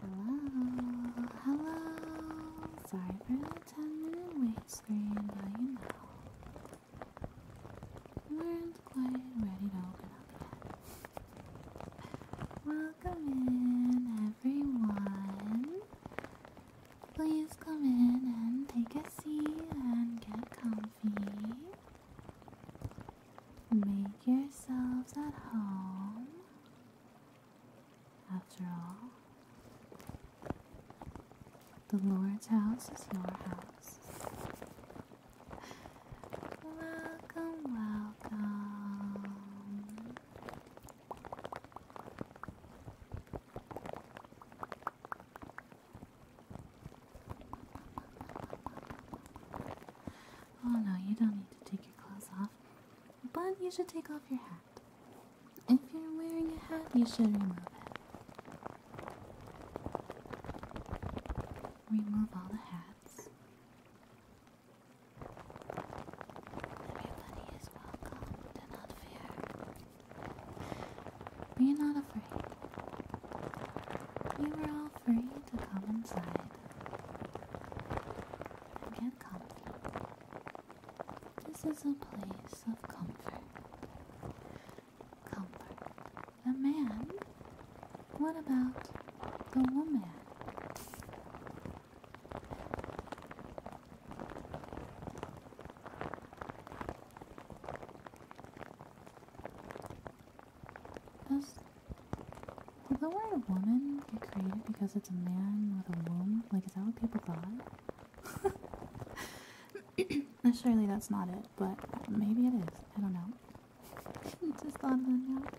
Hello, hello. Sorry for the 10 minute wait screen, but you know. We weren't quite ready to open up Welcome in, everyone. Please come in and take a seat and get comfy. Make yourselves at home. After all, the Lord's house is your house. Welcome, welcome. Oh no, you don't need to take your clothes off but you should take off your hat. If you're wearing a hat, you should remove it. Remove all the hats. Everybody is welcome. Do not fear. Be not afraid. You are all free to come inside and get This is a place of comfort. Comfort. A man? What about the woman? Does well, the word woman get created because it's a man with a womb? Like, is that what people thought? Surely that's not it, but maybe it is. I don't know.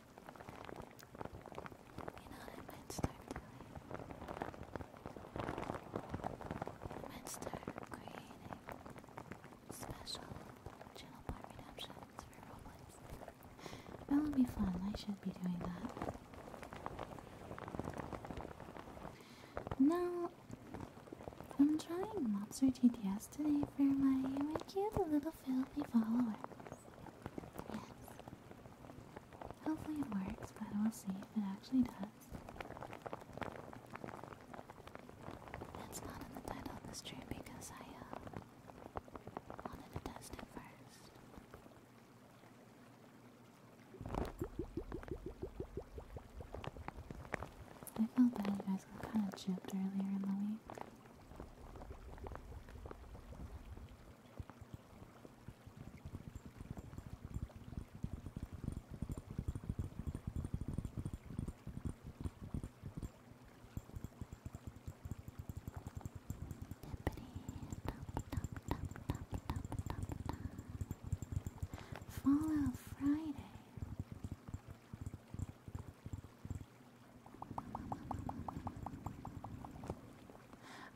you know I might start doing. creating special channel part redemptions for Roblox. That would be fun. I should be doing that. Now, I'm trying Monster TDS today for my, my cute little filthy follower. Yes. Hopefully it works, but we'll see if it actually does. That's not in the title of this stream because I uh, wanted to test it first. I felt bad you guys got kind of jipped earlier in the week. Follow Friday.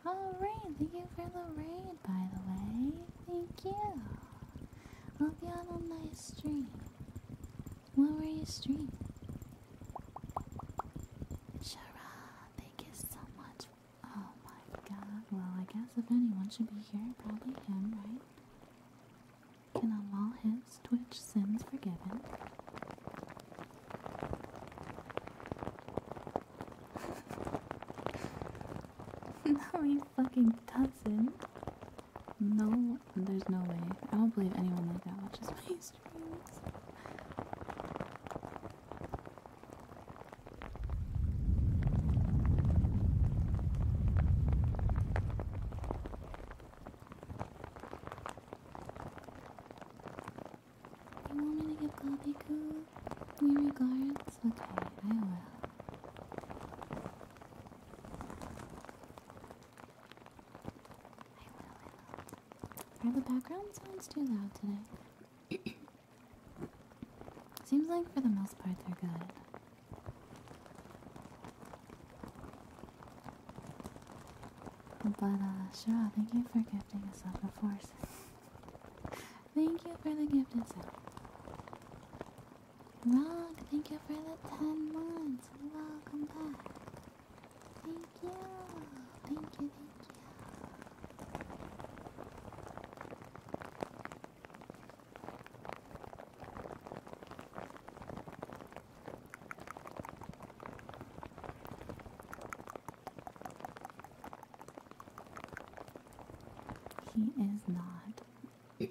Alright, thank you for the raid, by the way. Thank you. Hope you had a nice stream. What were you streaming? Shara, thank you so much. Oh my god. Well, I guess if anyone should be here, probably him, right? Can I wall him? Sims, Twitch, Sims Forgiven. no, he fucking doesn't. No, there's no way. I don't believe anyone like that watches my streams. You want me to give cool? your regards? Okay, I will. I will. Are the background sounds too loud today? Seems like for the most part they're good. But uh, thank you for gifting us all the forces. thank you for the gift itself. Rock, thank you for the 10 months. Welcome back. Thank you. Thank you, thank you. He is not. I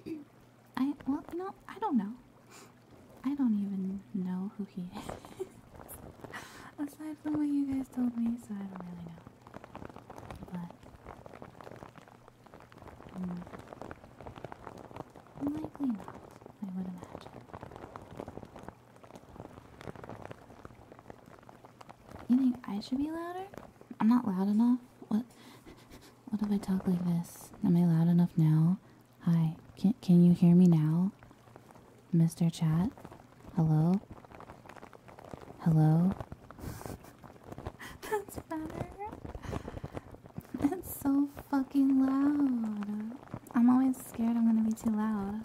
well, you know, I don't know. I don't even know who he is. Aside from what you guys told me, so I don't really know. But mm, likely not, I would imagine. You think I should be louder? I'm not loud enough. What? What if I talk like this? Am I loud enough now? Hi. Can Can you hear me now, Mr. Chat? Hello. Hello. That's better. It's so fucking loud. I'm always scared I'm gonna be too loud.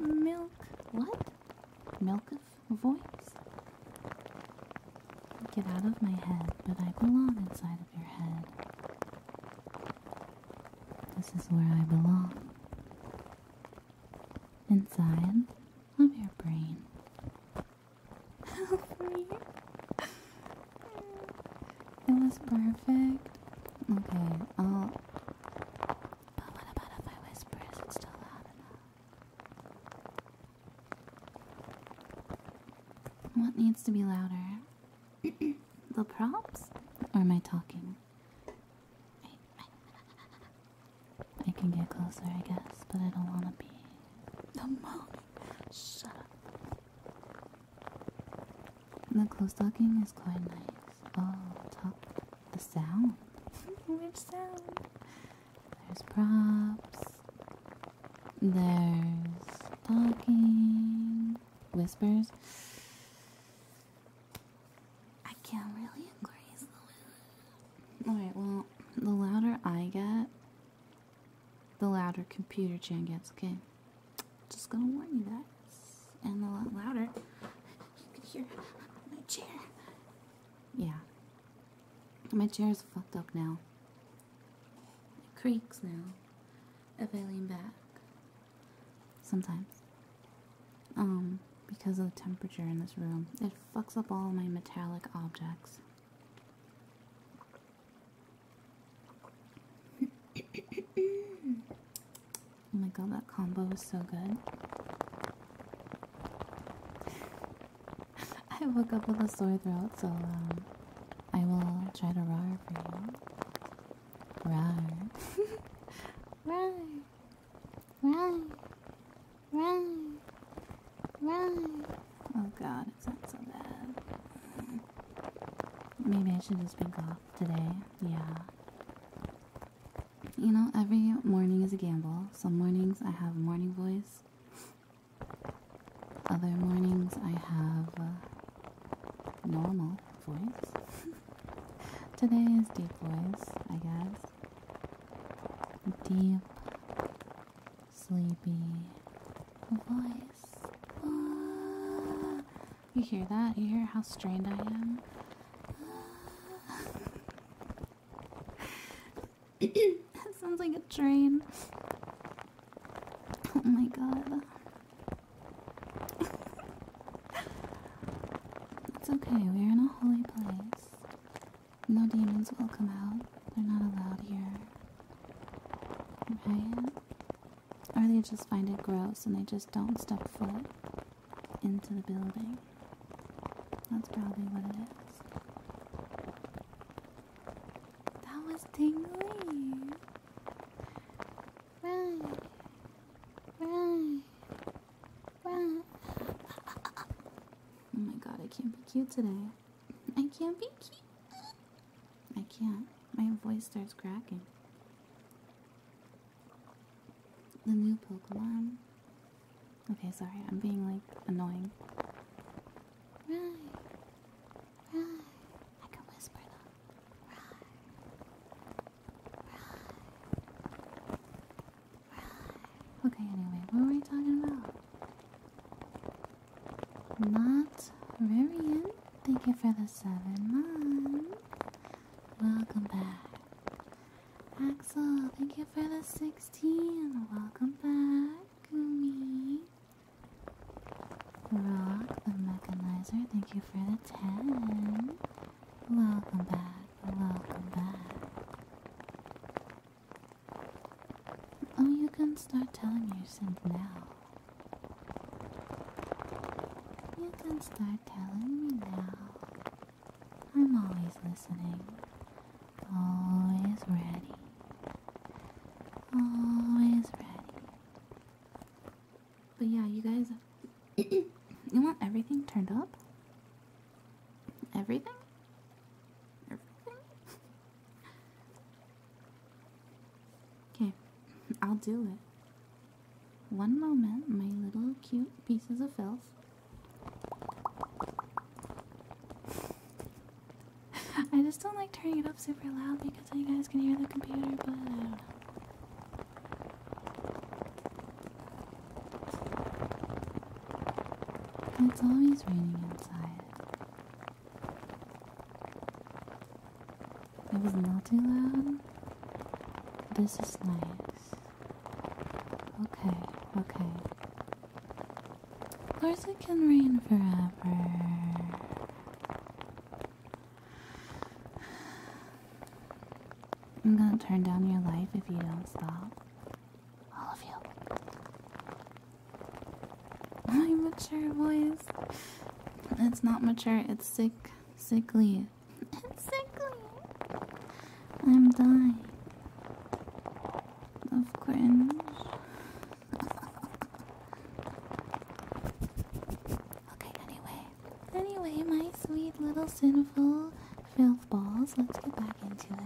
Milk. What? Milk of voice? Get out of my head, but I belong inside of your head. This is where I belong. Inside of your brain it was perfect. Okay, I'll. But what about if I whisper? Is it still loud enough? What needs to be louder? the props? Or am I talking? I can get closer, I guess, but I don't want to be the most. Shut up. The close talking is quite nice. Oh, talk the sound. Which sound? There's props. There's talking. Whispers. I can't really increase the Alright, well, the louder I get, the louder computer gen gets, okay? Just gonna warn you guys. And a lot louder. You can hear my chair. Yeah. My chair is fucked up now. It creaks now. If I lean back. Sometimes. Um, because of the temperature in this room. It fucks up all my metallic objects oh my god, that combo is so good. I woke up with a sore throat, so um, I will try to roar for you. Roar. roar. Roar. Roar. Roar. Oh god, it's not so bad. Maybe I should just be off today. Yeah. You know, every morning is a gamble. Some mornings I have morning voice. Other mornings I have normal voice. Today is deep voice, I guess. Deep, sleepy voice. Uh, you hear that? You hear how strained I am? Uh, that sounds like a train. Oh my god. it's okay, we're in a holy place. No demons will come out. They're not allowed here. Right? Or they just find it gross and they just don't step foot into the building. That's probably what it is. That was tingly. Right. Right. Right. Oh my god, I can't be cute today. I can't be cute. I can't. My voice starts cracking. The new Pokemon. Okay, sorry, I'm being like annoying. Right. Right. I can whisper though. Right. Right. Okay, anyway, what were we talking about? Not Rarian, thank you for the seven months. Welcome back. Axel, thank you for the 16. Welcome back, Gumi. Rock the mechanizer, thank you for the 10. Welcome back, welcome back. Oh, you can start telling me since now. You can start telling me now. I'm always listening, always ready, always ready. But yeah, you guys, you want everything turned up? Everything? Everything? Okay, I'll do it. One moment, my little cute pieces of filth. I just don't like turning it up super loud because you guys can hear the computer, but It's always raining inside. It was not too loud. This is nice. Okay, okay. Of course, it can rain forever. I'm gonna turn down your life if you don't stop. All of you. My mature voice. It's not mature, it's sick, sickly. It's sickly. I'm dying. Of cringe. okay, anyway. Anyway, my sweet little sinful filth balls, let's get back into it.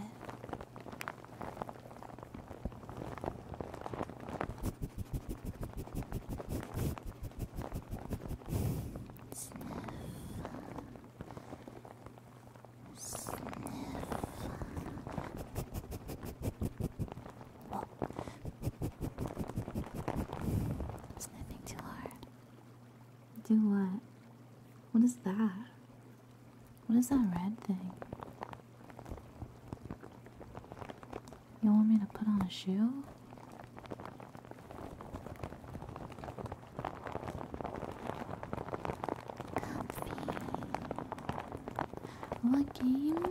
Sniff. Whoa. Sniffing too hard. Do what? What is that? What is that red thing? You want me to put on a shoe? Comfy. What game?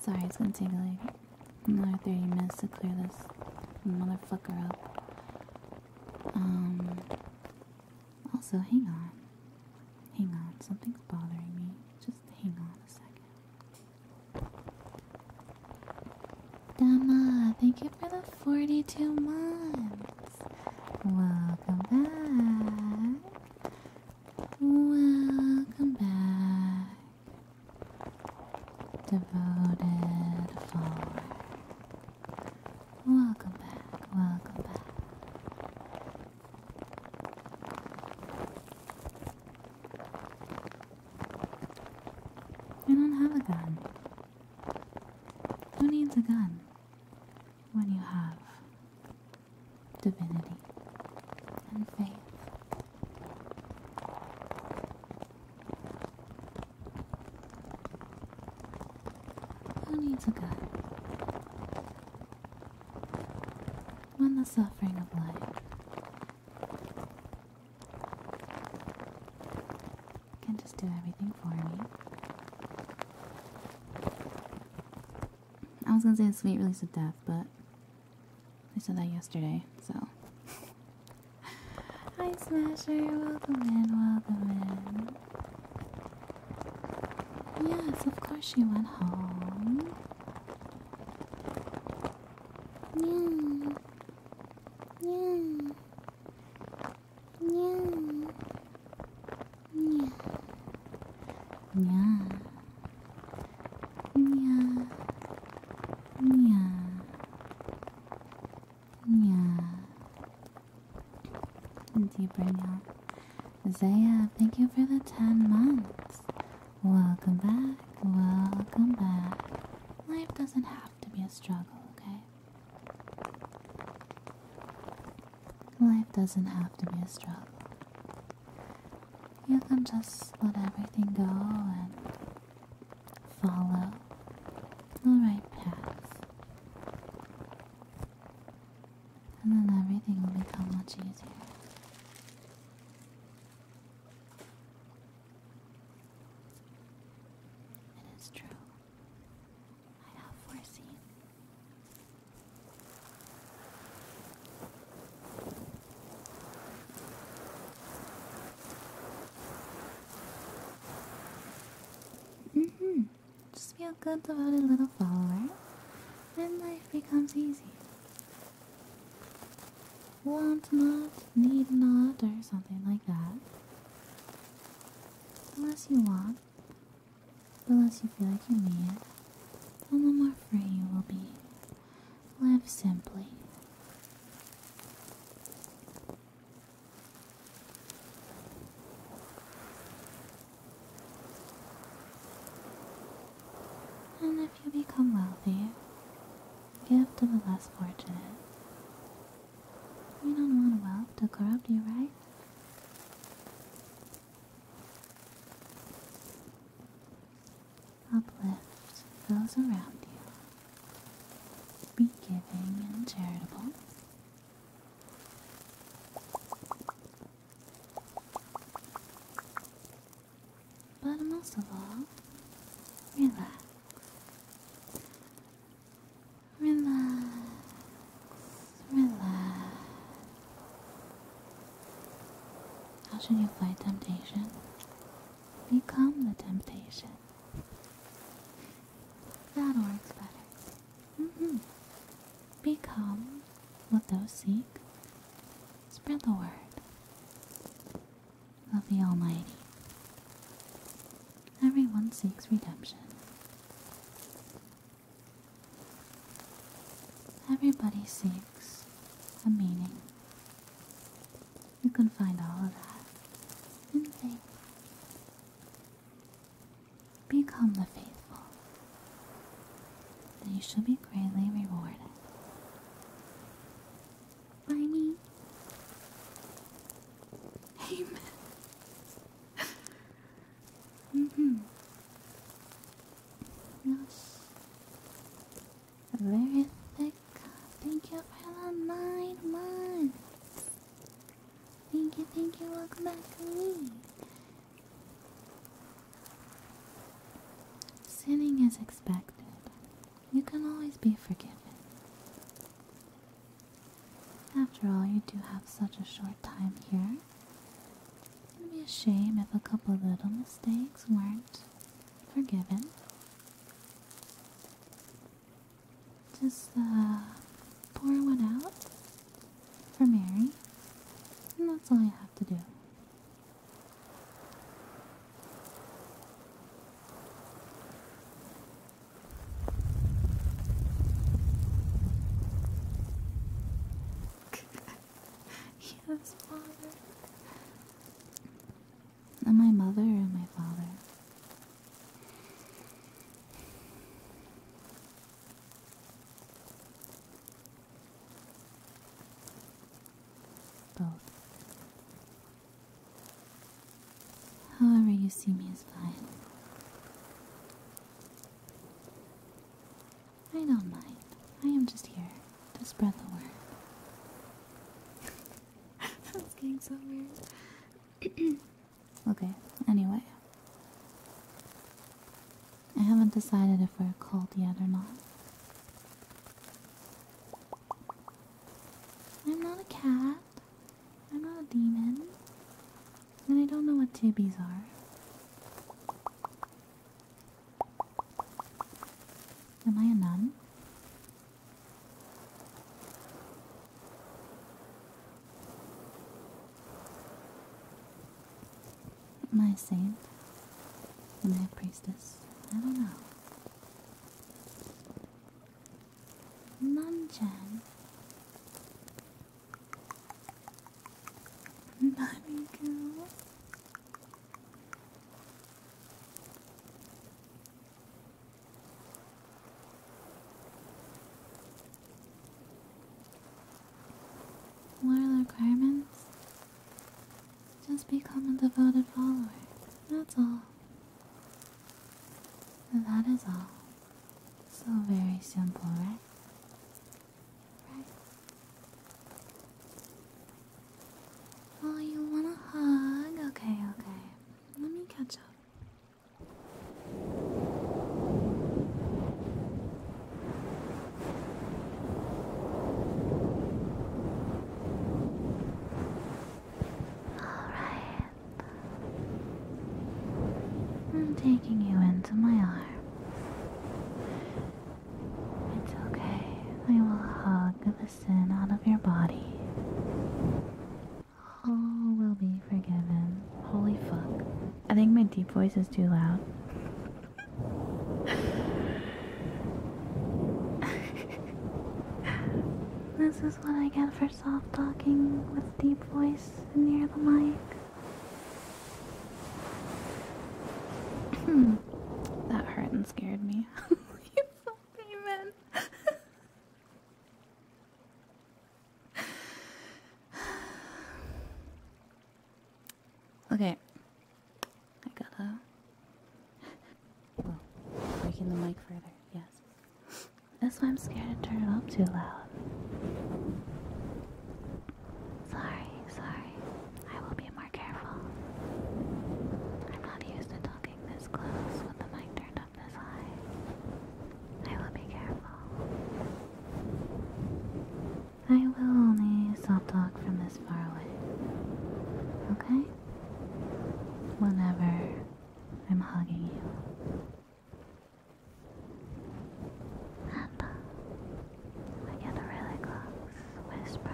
Sorry, it's gonna take like another 30 minutes to clear this motherfucker up. Um, also, hang on. Hang on, something's bothering me. Just hang on a second. Dama, thank you for the 42 months. Welcome back. Welcome back. Devoted follower. Welcome back, welcome back. You don't have a gun. Who needs a gun when you have divinity and faith? Who needs a gun? When the suffering of life can just do everything for me. I was gonna say a sweet release of death, but I said that yesterday, so Hi Smasher, welcome in, welcome in. Yes, of course you went home. Yeah. Yeah. Yeah. Yeah. Yeah. Yeah. Yeah. Yeah. Deeper now. Zaya, thank you for the 10 months. Welcome back. Welcome back. Life doesn't have to be a struggle, okay? Life doesn't have to be a struggle. You can just let everything go and follow the right path. And then everything will become much easier. It is true. I have foreseen. Mm hmm Just feel good, devoted little follower. and life becomes easy. Want not, need not, or something like that. The less you want, the less you feel like you need, and the more free you will be. Live simply. And if you become wealthy, give to the less fortunate. You don't want wealth to corrupt you, right? Uplift those around you be giving and charitable. But most of all, relax. Relax. Relax. How should you fight temptation? Become the temptation. That works better. Mm-hmm. Become what those seek. Spread the word of the Almighty. Everyone seeks redemption. Everybody seeks a meaning. You can find all of that in faith Become the faithful, and you shall be greatly rewarded. By me. Amen. hmm Yes. Very thick. Thank you for the nine months. Thank you, thank you, welcome back to me. Sinning is expected. You can always be forgiven. After all, you do have such a short time here. It would be a shame if a couple little mistakes weren't forgiven. Just uh, pour one out for Mary, and that's all I have to do. yes, Father. And my mother and my father, both. However, you see me is fine. I don't mind. I am just here to spread the word. That's getting so weird. Okay, anyway. I haven't decided if we're a cult yet or not. I'm not a cat. I'm not a demon. And I don't know what tibbies are. Am I a nun? My saint, my priestess, I don't know. Nanchan. Mommy what are the requirements? Just become a devoted follower. That's all. That is all. So very simple, right? Right? Oh, you want a hug? Okay, okay. Let me catch up. Alright. I'm taking you into my arms. It's okay. I will hug the sin out of your body. All will be forgiven. Holy fuck. I think my deep voice is too loud. this is what I get for soft talking with deep voice near the mic. Hmm. that hurt and scared me. you fucking man. Okay. I gotta. breaking oh, the mic further, yes. That's why I'm scared to turn it up too loud. Sorry, sorry. I will be more careful. I'm not used to talking this close with the mic turned this eye. I will be careful. I will only soft talk from this far away. Okay? Whenever I'm hugging you. And we uh, get a really close whisper.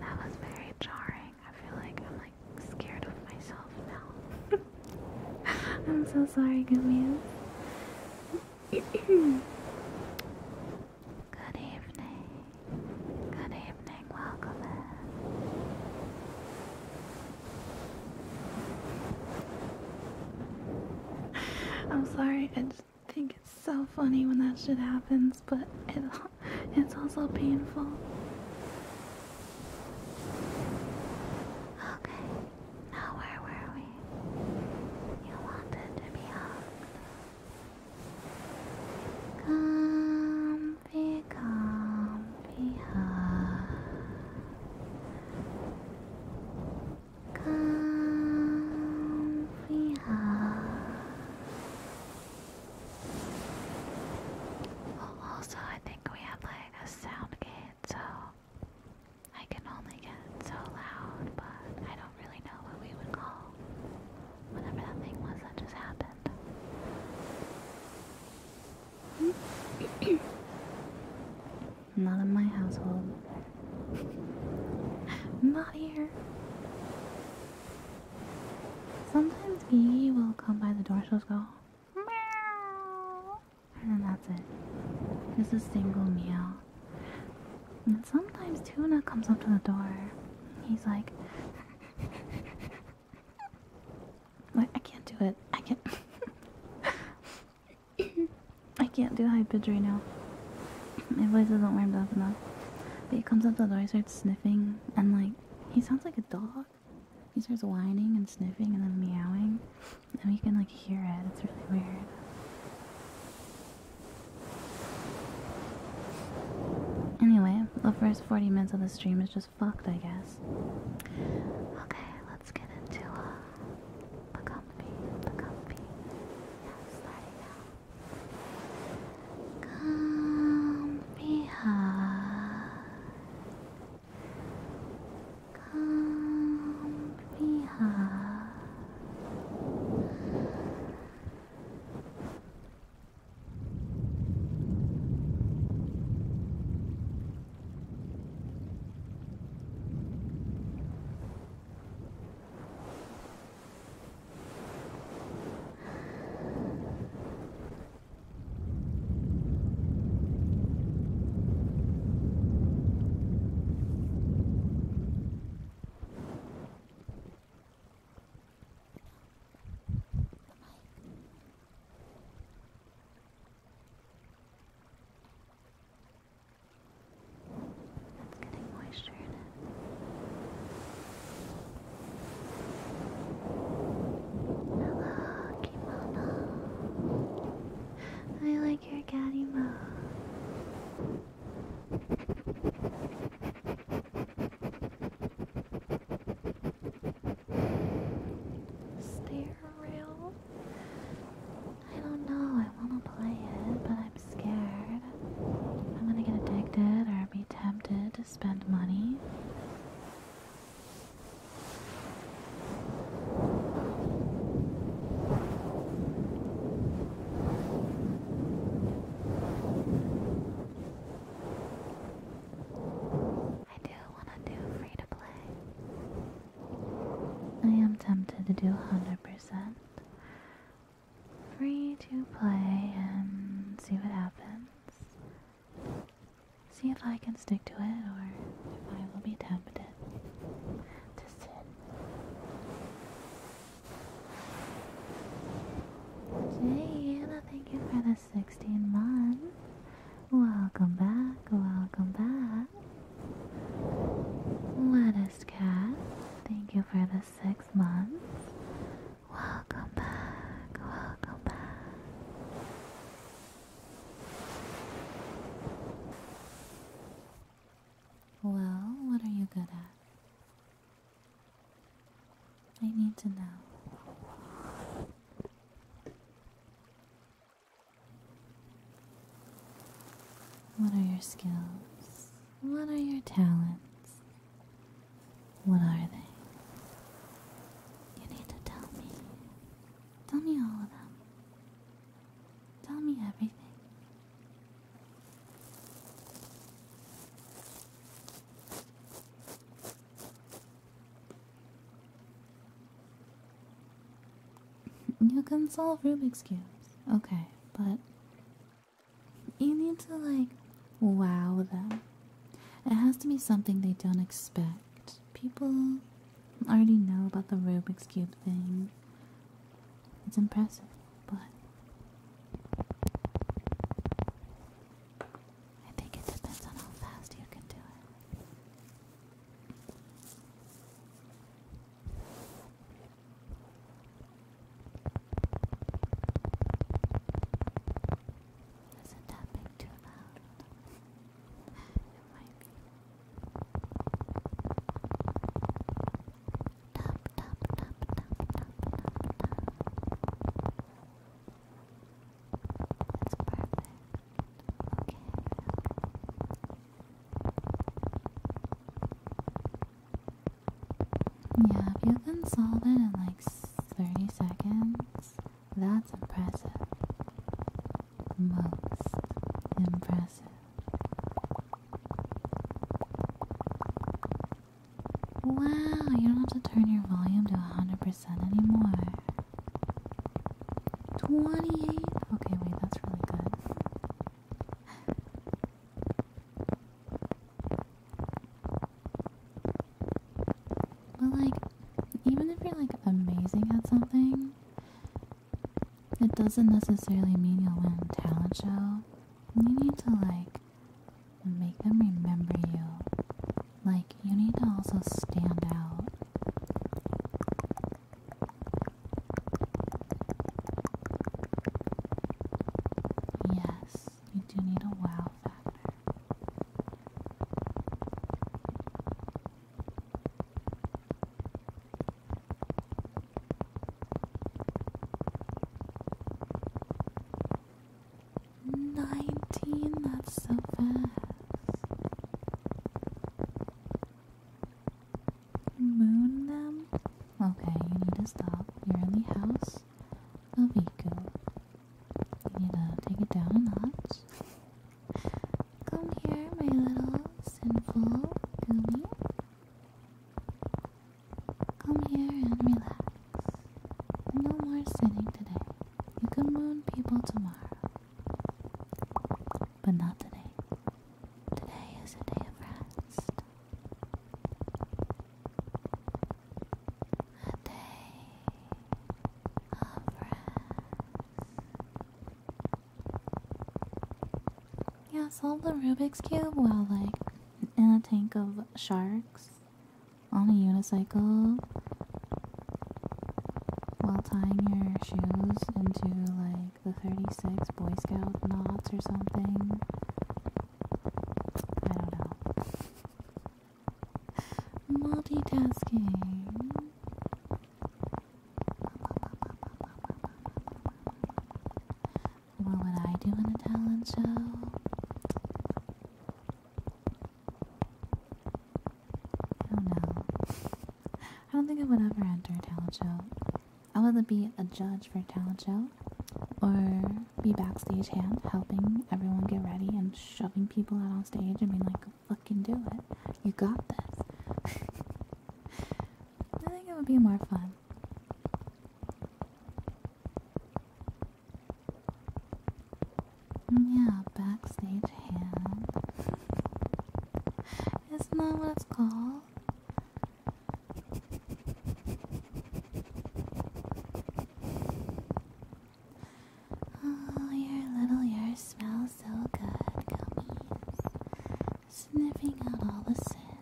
That was very jarring. I feel like I'm like scared of myself now. I'm so sorry, Gamius. Good evening. Good evening. Welcome I'm sorry, I just think it's so funny when that shit happens, but it's also painful. Okay, now where were we? You wanted to be hugged. Comfy, comfy hug. Comfy hug also, I think we have like a sound gate, so I can only get so loud, but I don't really know what we would call whatever that thing was that just happened. Not in my household. Not here. Sometimes Gigi will come by the door, so will go meow, and then that's it. Just a single meow. And sometimes Tuna comes up to the door. He's like, I can't do it. I can't. I can't do high pitch right now. My voice isn't warm up enough. But he comes up to the door, he's sniffing, and like, he sounds like a dog. He starts whining and sniffing and then meowing, and you can like hear it. It's really weird. Anyway, the first 40 minutes of the stream is just fucked, I guess. Okay, let's get into the uh, comfy, the comfy. Yeah, starting now. Come be behind. Come be behind. It's getting moisture in Hello, I like your cat Stair I don't know. I want to play it, but I'm scared. I'm gonna get addicted or be tempted spend money. I do want to do free to play. I am tempted to do 100%, free to play and see what happens. See if I can stick to it or if I will be tempted to sin. Jayla, thank you for the 16 months. Welcome back, welcome back. Lettuce Cat, thank you for the 6 months. Welcome back, welcome back. Well, what are you good at? I need to know. What are your skills? What are your talents? What are they? You need to tell me. Tell me all of them. Tell me everything. You can solve Rubik's Cubes. Okay, but you need to like wow them. It has to be something they don't expect. People already know about the Rubik's Cube thing. It's impressive, but I think it depends on how fast you can do it. Is it tapping too loud? it might be. Tap, tap, tap, tap, tap, tap, tap. That's perfect. Okay. Yeah, if you can solve it in like 30 seconds? That's impressive. Most impressive. Wow, you don't have to turn your volume to 100% anymore. 28? Okay, wait, that's really good. But like, even if you're like amazing at something, it doesn't necessarily mean you'll win a talent show. You need to like make them remember you. Like, you need to also stand out. Yes. You do need a wow factor. Nineteen, that's so fast. Moon them? Okay, you need to stop. You're in the house of ego. You need to take it down a notch. Come here, my little sinful goomy. Come here and relax. No more sitting today. You can moon people tomorrow. But not today. Today is a day of rest a Yeah, solve the Rubik's Cube while, like, in a tank of sharks on a unicycle while tying your shoes into, like, the 36 Boy Scout knots or something. I don't know. Multitasking. What would I do in a talent show? I don't know. I don't think I would ever enter a talent show. I would be a judge for a talent show or be backstage hand, helping everyone get ready and shoving people out on stage I mean, like, fucking do it. You got this. I think it would be more fun. Mm, yeah, backstage hand. Isn't that what it's called? Oh, your little ear smell so good, Gummy. Sniffing out all the sin.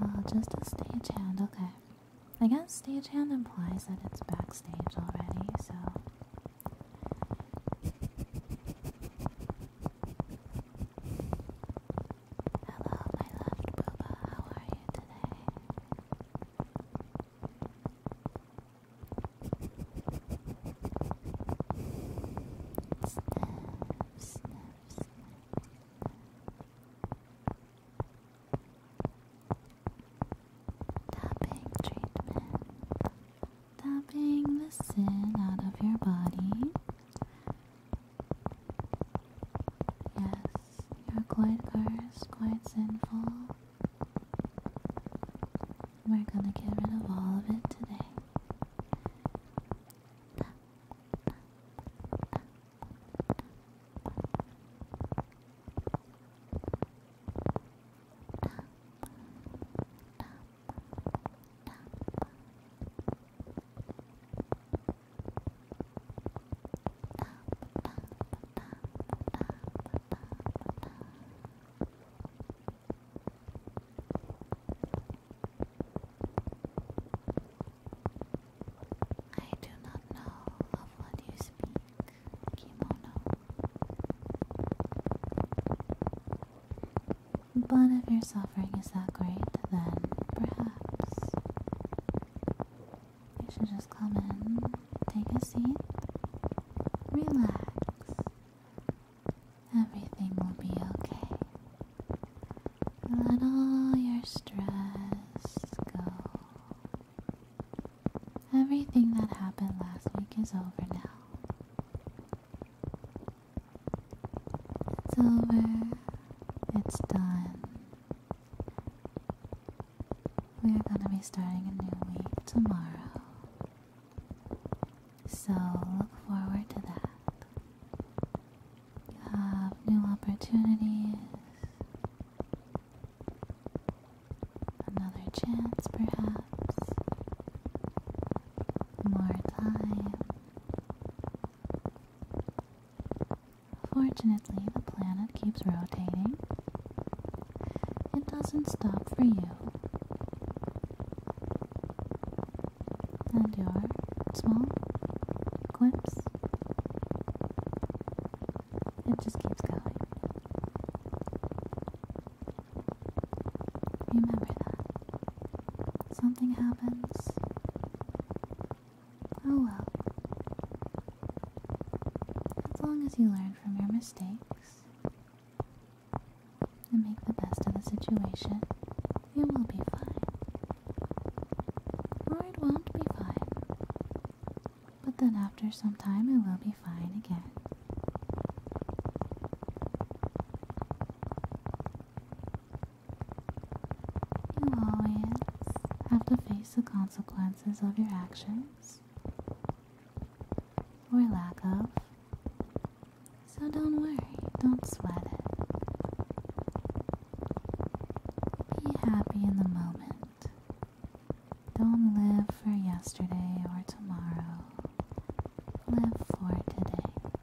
Oh, just a stagehand, okay. I guess stagehand implies that it's backstage already, so. Hello, my loved Booba. How are you today? Sniff, sniff, Tapping treatment tapping the sin out of your body. Yes, you're quite cursed, quite sinful. We're gonna get rid of all of it today. I do not know of what you speak, kimono. But if your suffering is that great, then perhaps you should just come in, take a seat, relax. Everything will be okay. Let all your stress go. Everything that happened last week is over now. It's over. It's done. We are going to be starting a new week tomorrow. So look forward to that. You have new opportunities, another chance, perhaps, more time. Fortunately, the planet keeps rotating. It doesn't stop for you. And your small quips, it just keeps going. Remember that. Something happens. Oh well. As long as you learn from your mistakes and make the best of the situation, you will be fine. Or won't be fine. But then after some time, it will be fine again. You always have to face the consequences of your actions or lack of. So don't worry, don't sweat it. Be happy in the moment. Don't live for yesterday or tomorrow. Live for today.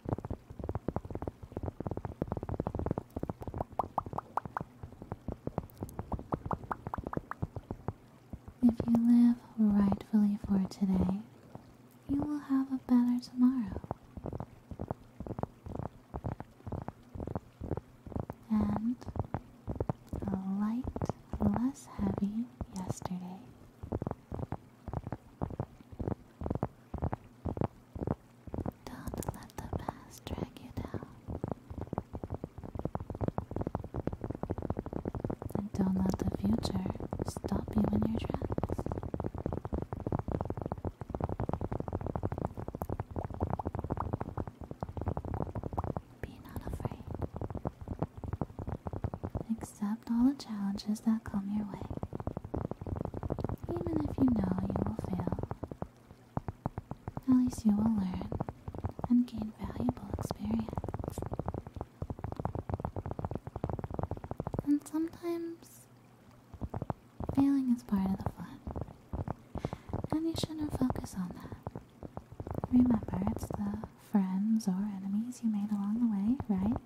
If you live rightfully for today, you will have a better tomorrow. And a light, less heavy yesterday don't let the past drag you down. And don't let the future stop you in your tracks. Be not afraid. It accept all the challenges that come your way, even if you know you will fail. At least you will learn and gain valuable experience. And sometimes failing is part of the fun, and you shouldn't focus on that. Remember, it's the friends or enemies you made along the way, right?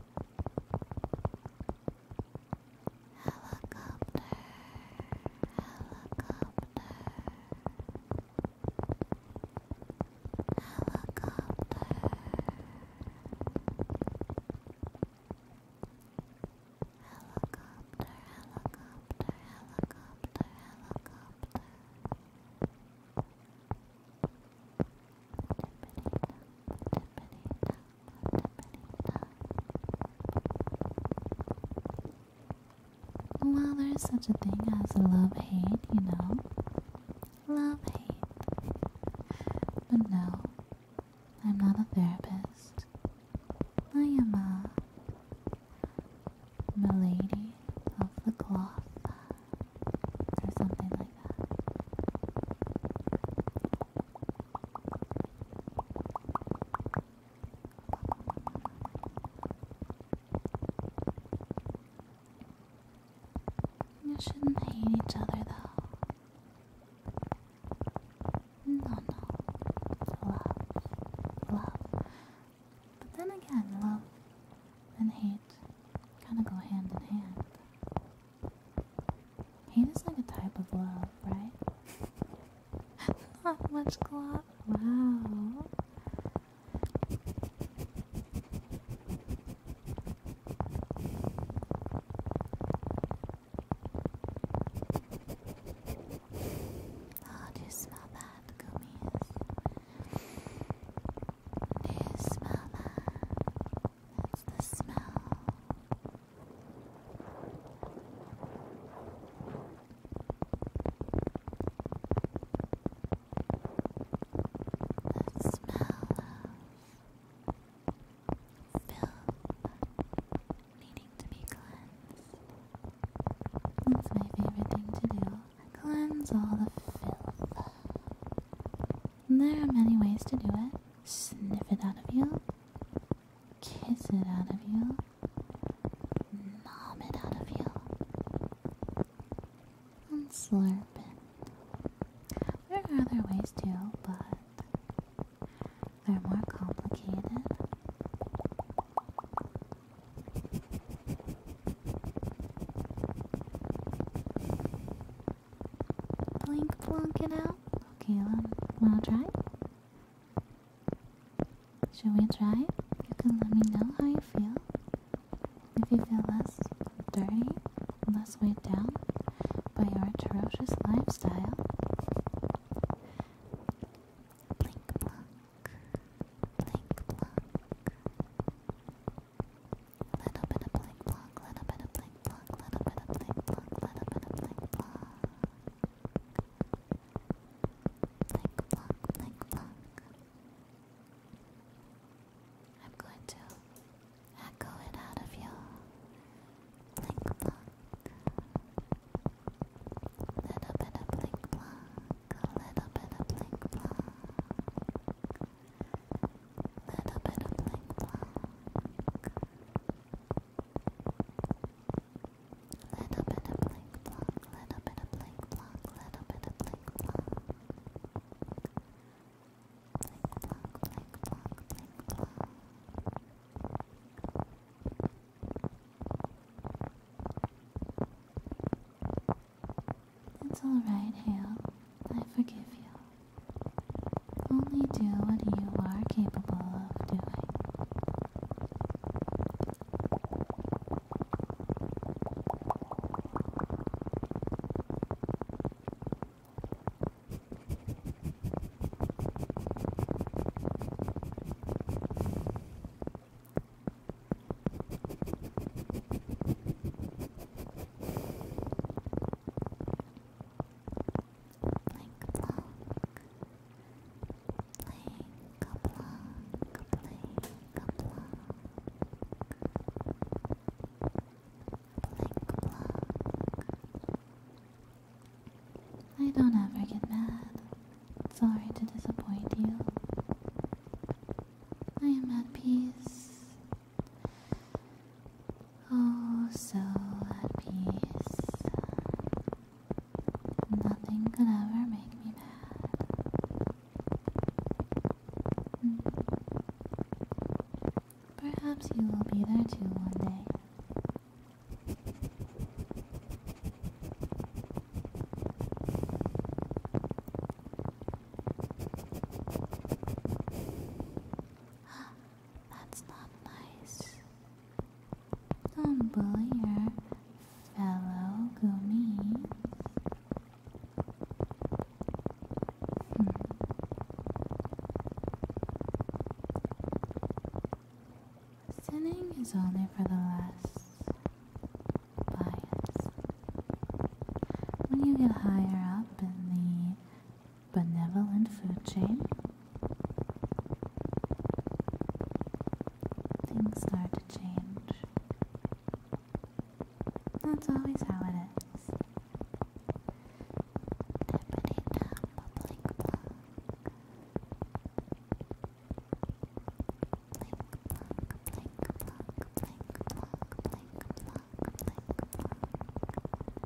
Helicopter, helicopter, helicopter. Helicopter, helicopter, helicopter, helicopter. Helicopter, well, there's such a thing as love hate, you know. Love hate. But no, I'm not a therapist. I am a milady of the cloth or something like that. You shouldn't hate each other though. No, no. Love. Love. But then again, love and hate Kind of go hand in hand. Hate is like a type of love, right? Not much glove. Wow. Oh, do you smell that, gummies? This smell That's the smell. The smell of filth needing to be cleansed. That's my favorite thing to do. Cleanse all the filth. There are many ways to do it. Sniff it out of you, kiss it out of you, nom it out of you, and slurp it. There are other ways too, but they're more complicated. Blink blonk it out. Okay, well, um, wanna try? Should we try? You can let me know how you feel. If you feel less dirty, less weighed down by your atrocious lifestyle. Blink blonk. Blink blonk. Little bit of blink block, little bit of blink block, little bit of blink block, little bit of blink block. Blink block, blink block. I'm going to echo it out of you. Blink block. Little bit of blink block, little bit of blink Blink, little bit of blink block. Little bit of blink block, little bit of blink block, little bit of blink Blink blink blink Blink blink it's alright, Hale. I forgive you. Only do what you are capable of doing. I don't ever get mad. Sorry to disappoint you. I am at peace Oh, so at peace. Nothing could ever make me mad. Perhaps you will be there too one day. That's not nice. Don't bully your fellow Gumi. Hmm. Sinning is only for the less biased. When you get higher up in the Benevolent food chain. Things start to change. That's always how it is.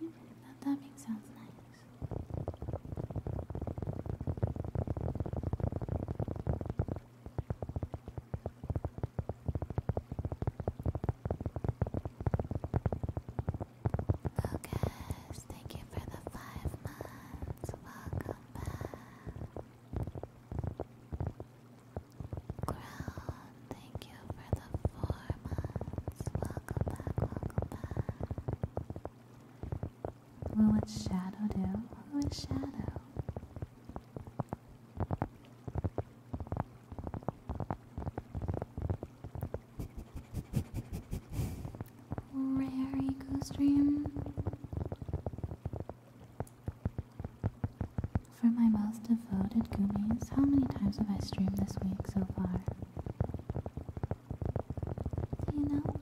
That tapping sounds nice. Lucas, thank you for the five months. Welcome back. Growl, thank you for the four months. Welcome back, welcome back. What Shadow do? Shadow? Rare Eco Stream. For my devoted gummies. How many times have I streamed this week so far? Do you know?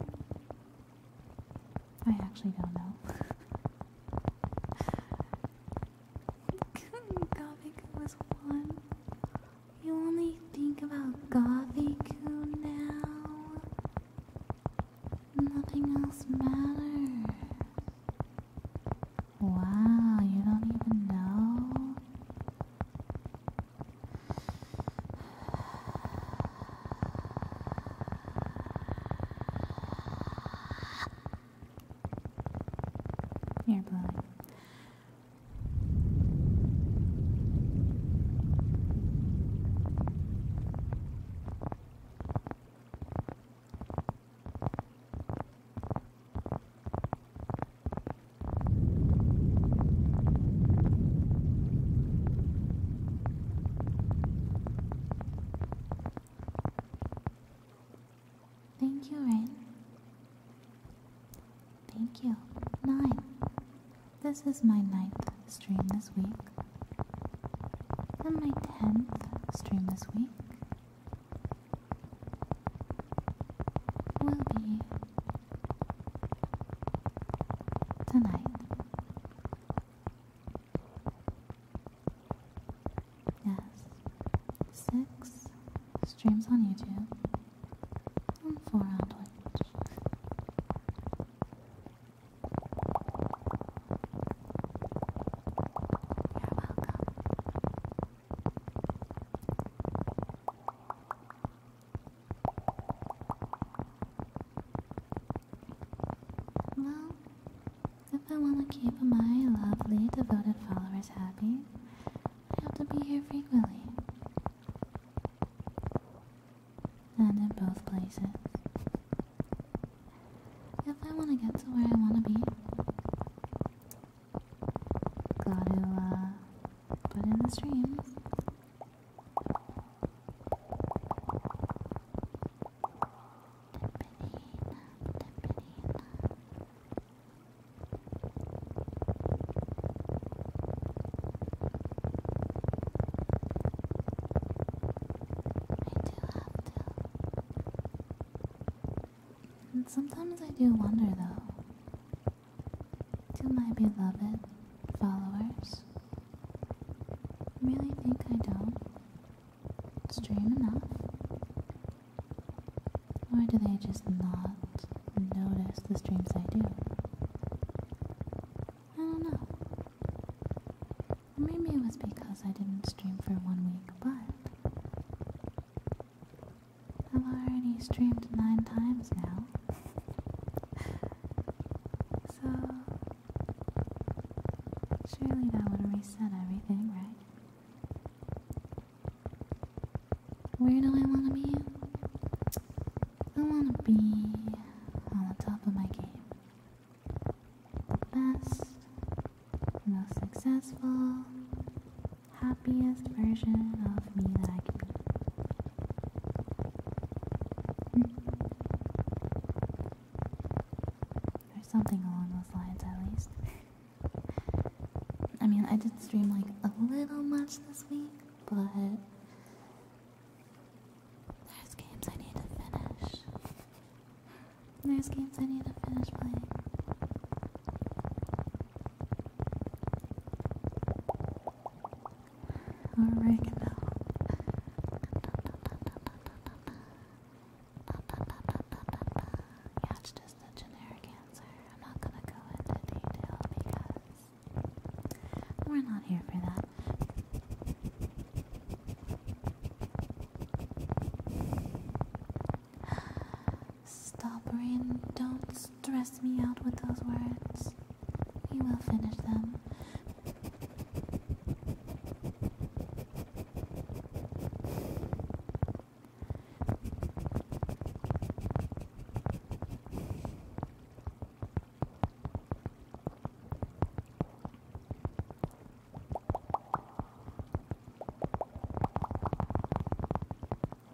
I actually don't know. Gothic was one. You only think about Gothic now. Nothing else matters. Wow, you don't even know. you blowing. Thank you, Rain. Thank you. Nine. This is my ninth stream this week. And my tenth stream this week will be tonight. Yes, six streams on YouTube four on You're welcome. Well, if I want to keep my lovely devoted followers happy, I have to be here frequently. And in both places. If I want to get to where I want to be, Gotta uh, put in the streams. I do have to and sometimes I do wonder though, do my beloved followers really think I don't stream enough? Or do they just not notice the streams I do? I don't know. Maybe it was because I didn't stream for one week, but I've already streamed nine times now. so, surely that would reset everything, right? Where do I want to be? I want to be on the top of my game. The best, most successful, happiest version of me that I can be. or hmm. something along those lines, at least. I mean, I did stream like a little much this week, but. There's games I need to finish. There's games I need to finish playing. Alright Yeah, it's just a generic answer. I'm not gonna go into detail because we're not here for that. Stop, Stubborn, don't stress me out with those words. You will finish them.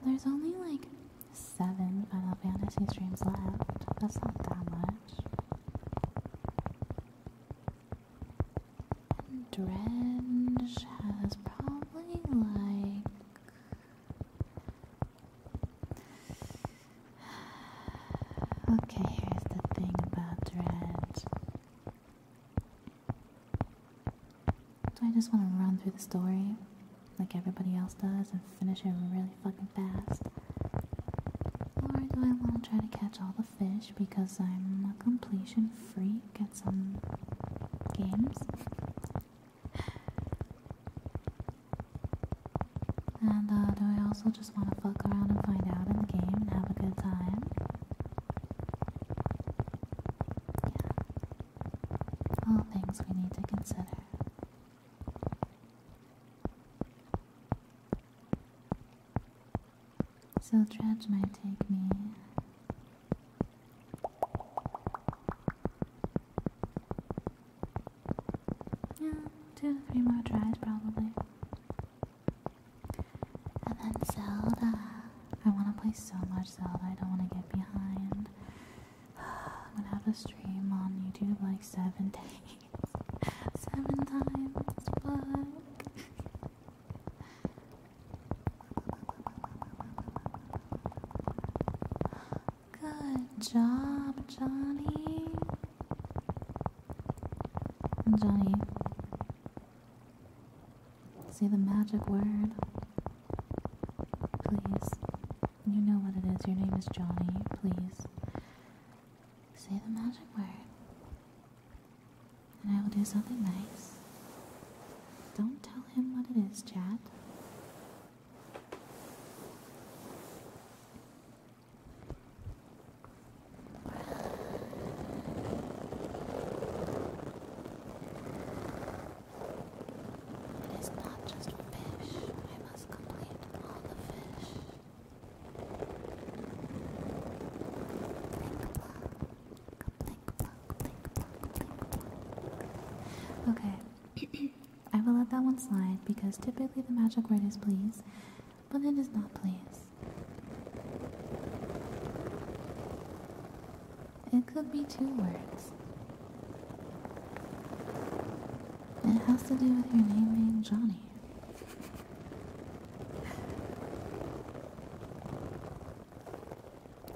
There's only like seven Final Fantasy streams left. That's not that much. And has probably like. Okay, here's the thing about Dredge. Do I just want to run through the story like everybody else does and finish it really fucking fast. Or do I want to try to catch all the fish because I'm a completion freak at some games? and uh, do I also just want to fuck around and find out in the game and have a good time? All things we need to consider. So Dredge might take me. Yeah, two, three more tries probably. And then Zelda. I want to play so much Zelda, I don't want to get behind. I'm gonna have a stream on YouTube like seven days. seven times. Fuck. Good job, Johnny. Johnny. See the magic word. Please. You know what it is. Your name is Johnny. Please. Say the magic word. And I will do something nice. Don't tell him what it is, Chad. It is not just fish. I must complete all the fish. Okay, I will let that one slide because typically the magic word is please, but it is not please. It could be two words. It has to do with your name being Johnny.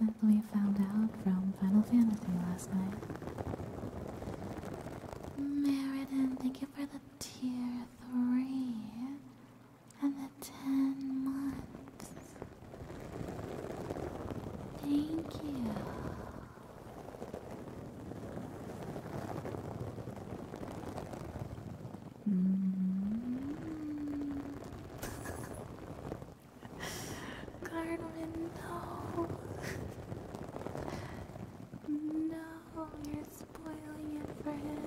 That we found out from Final Fantasy last night. Meriden, thank you for the tier 3 and the 10 months. Thank you. Mm. Carmen, no. no, you're spoiling it for him.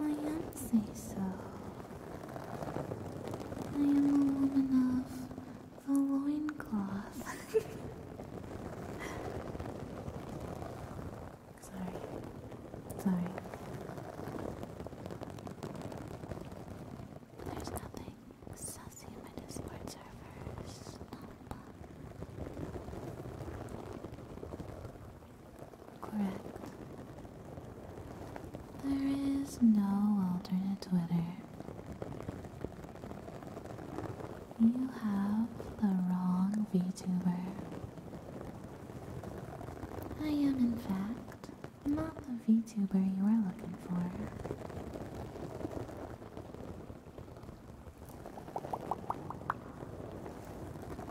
I am say so. I am a woman of the loincloth. Sorry. Sorry. There's nothing sassy in my Discord servers correct. There is no alternate Twitter. You have the wrong VTuber. I am, in fact, not the VTuber you are looking for.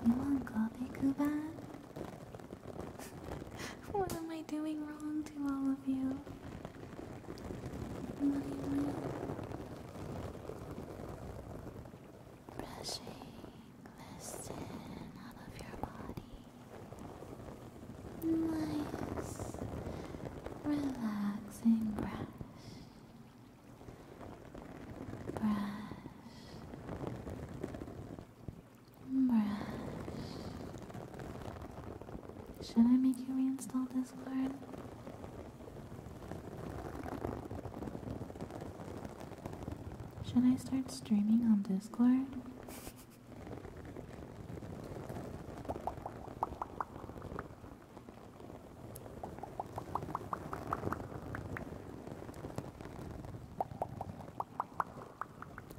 You want coffee, Kuban? what am I doing wrong to all of you? My, my. Brushing out of your body. Nice, relaxing brush. Brush, should I make you reinstall Discord? Should I start streaming on Discord?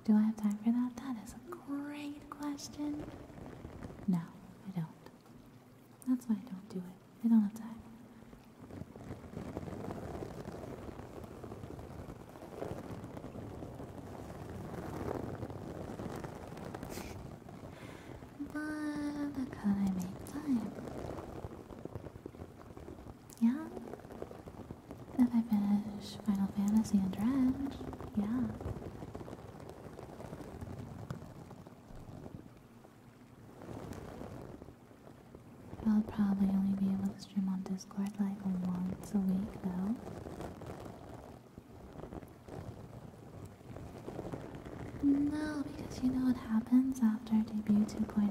Do I have time for that? That is a great question. No, I don't. That's why I don't do it. I don't have time. but could I make time? Yeah. If I finish Final Fantasy and Dredge, yeah. I'll probably only be able to stream on Discord like once a week though. No, because you know what happens after debut 2.0?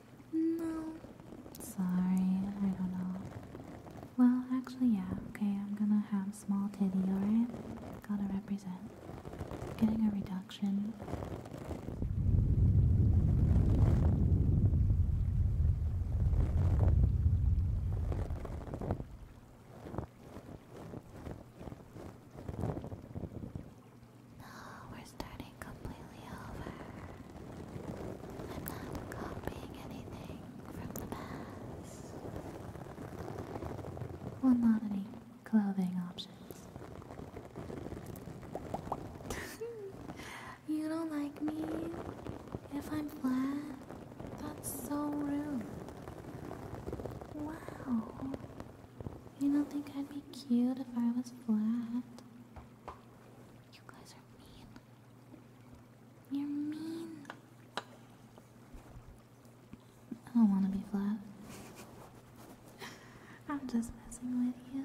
No. Sorry, I don't know. Well, actually, yeah, okay, I'm gonna have small titty, alright? Gotta represent. Getting a reduction. We're starting I'm not copying anything from the past. Well, not any clothing options. you don't like me if I'm flat? That's so rude. Wow. You don't think I'd be cute if I was flat? You guys are mean. You're mean. I don't want to be flat. I'm just messing with you.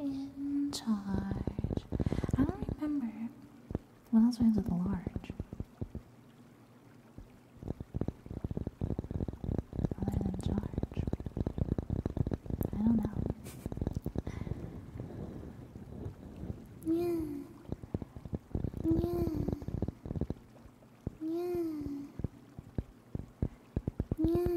in charge. I don't remember what else rhymes with large. Other than charge. I don't know. yeah. Yeah. Yeah. Yeah.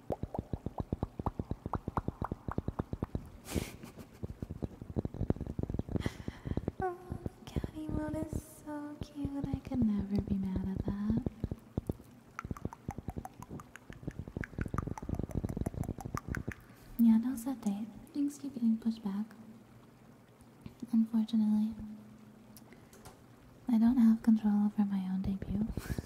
oh, the cat is so cute. I could never be mad at that. Yeah, now's that day. Things keep getting pushed back. Unfortunately, I don't have control over my own debut.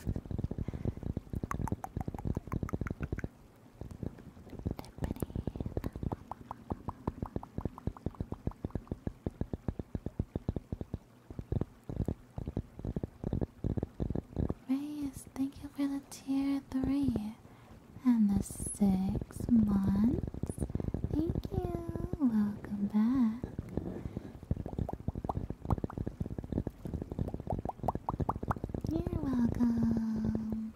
Reyes, thank you for the tier three and the six months. Thank you. Welcome back. You're welcome.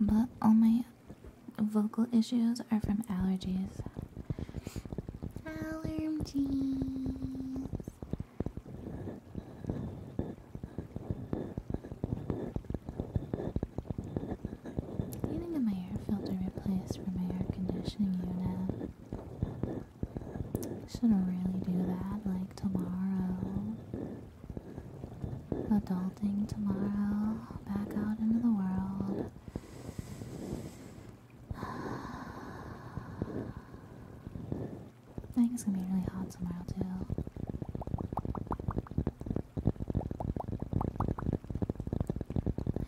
But all my vocal issues are from allergies. Allergies. I my air filter replaced for my air conditioning unit. Shouldn't really do that like tomorrow. Adulting tomorrow, back out into the world. I think it's gonna be really hot tomorrow too.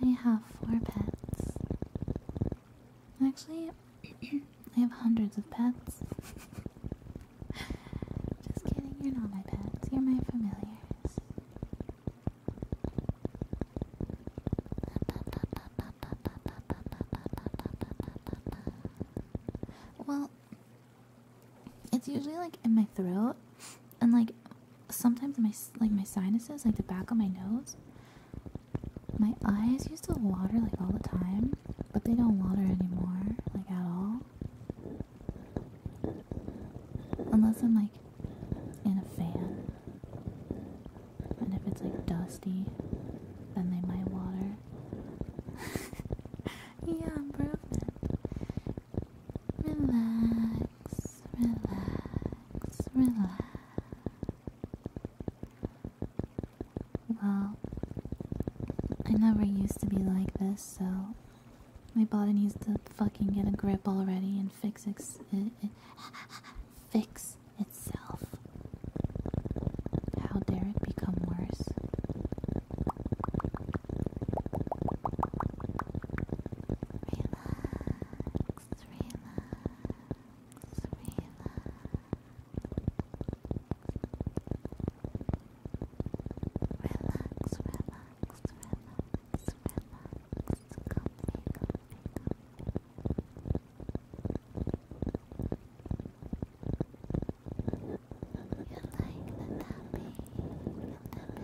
I have four pets. Actually, I have hundreds of pets. Just kidding, you're not my pets, you're my familiars. Well, it's usually like in my throat and like sometimes my like my sinuses, like the back of my nose. My eyes used to water like all the time, but they don't water anymore, like at all. Unless I'm like in a fan. And if it's like dusty, then they might water. yeah, improvement. Relax, relax, relax. Well, I never used to be like this, so my body needs to fucking get a grip already and fix itself. How dare it become worse? Relax, relax, relax. Relax, relax, relax, relax. Comfy, comfy, comfy. You like the tapping, the tappity tap,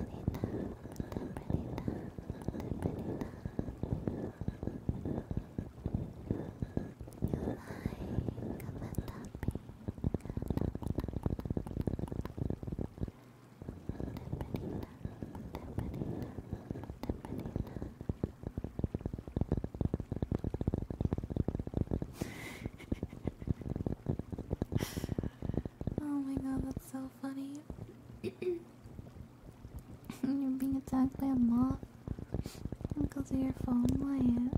tappity tap, tappity tap. oh my god, that's so funny. You're being attacked by a moth. Uncle to your phone, Wyatt.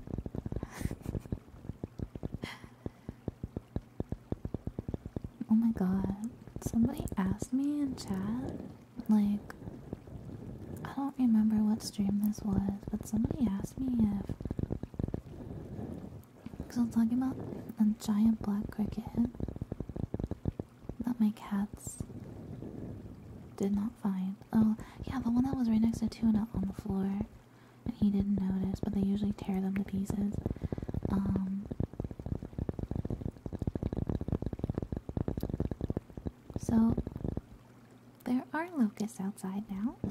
oh my god. Somebody asked me in chat, like, I don't remember what stream this was, but somebody asked me if. i was talking about a giant black cricket that my cats did not find. Oh, yeah, the one that was right next to Tuna on the floor. And he didn't notice, but they usually tear them to pieces. Um, so, there are locusts outside now.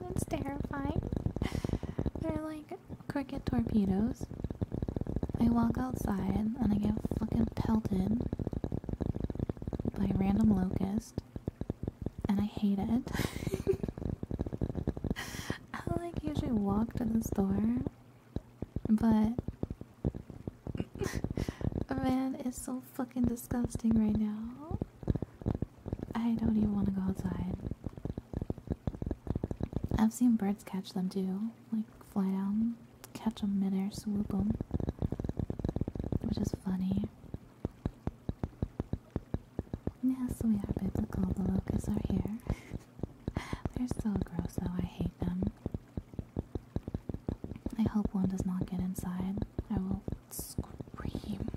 That's terrifying. They're like cricket torpedoes. I walk outside and I get fucking pelted by Random Locust, and I hate it. I like usually walk to the store, but man, is so fucking disgusting right now. I don't even want to go outside. I've seen birds catch them too, like fly down catch them midair, swoop them, which is funny. Yes, we are biblical. The locusts are here. They're so gross, though. I hate them. I hope one does not get inside. I will scream.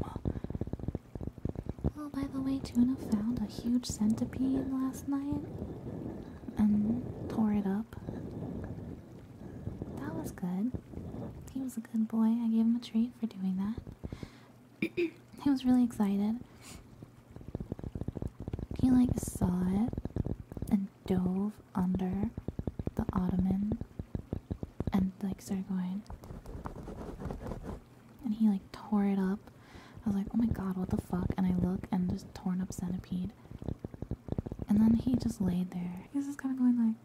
Oh, by the way, Tuna found a huge centipede last night and tore it up. That was good. He was a good boy. I gave him a treat for doing that. he was really excited. He like saw it and dove under the ottoman and like started going. And he like tore it up. I was like, oh my god, what the fuck? And I look and just torn up centipede. And then he just laid there. He's just kind of going like.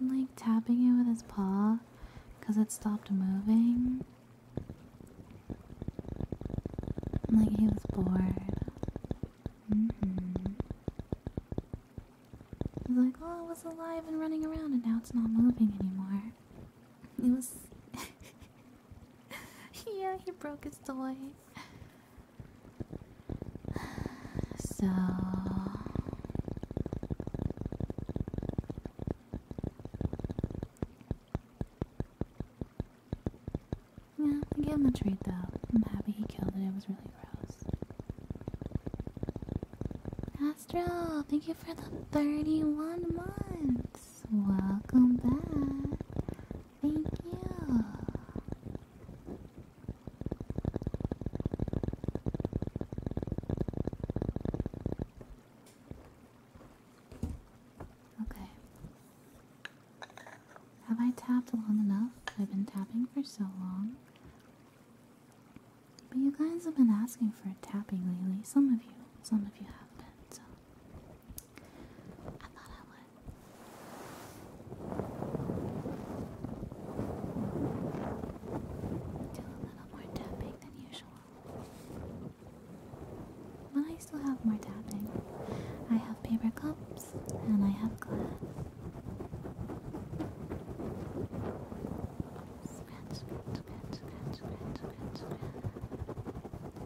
like tapping it with his paw because it stopped moving. And like he was bored. Mm hmm. like, oh, it was alive and running around and now it's not moving anymore. It was. yeah, he broke his toy. So yeah, I gave him a treat though. I'm happy he killed it. It was really gross. Astro, thank you for the 31 months welcome back. Thank you. Okay. Have I tapped long enough? I've been tapping for so long. But you guys have been asking for a tapping lately. Some of you, some of you have been, I thought I would do a little more tapping than usual. But I still have more tapping. I have paper cups and I have glass. Do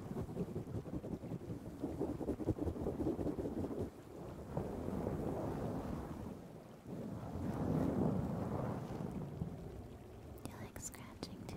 you like scratching too?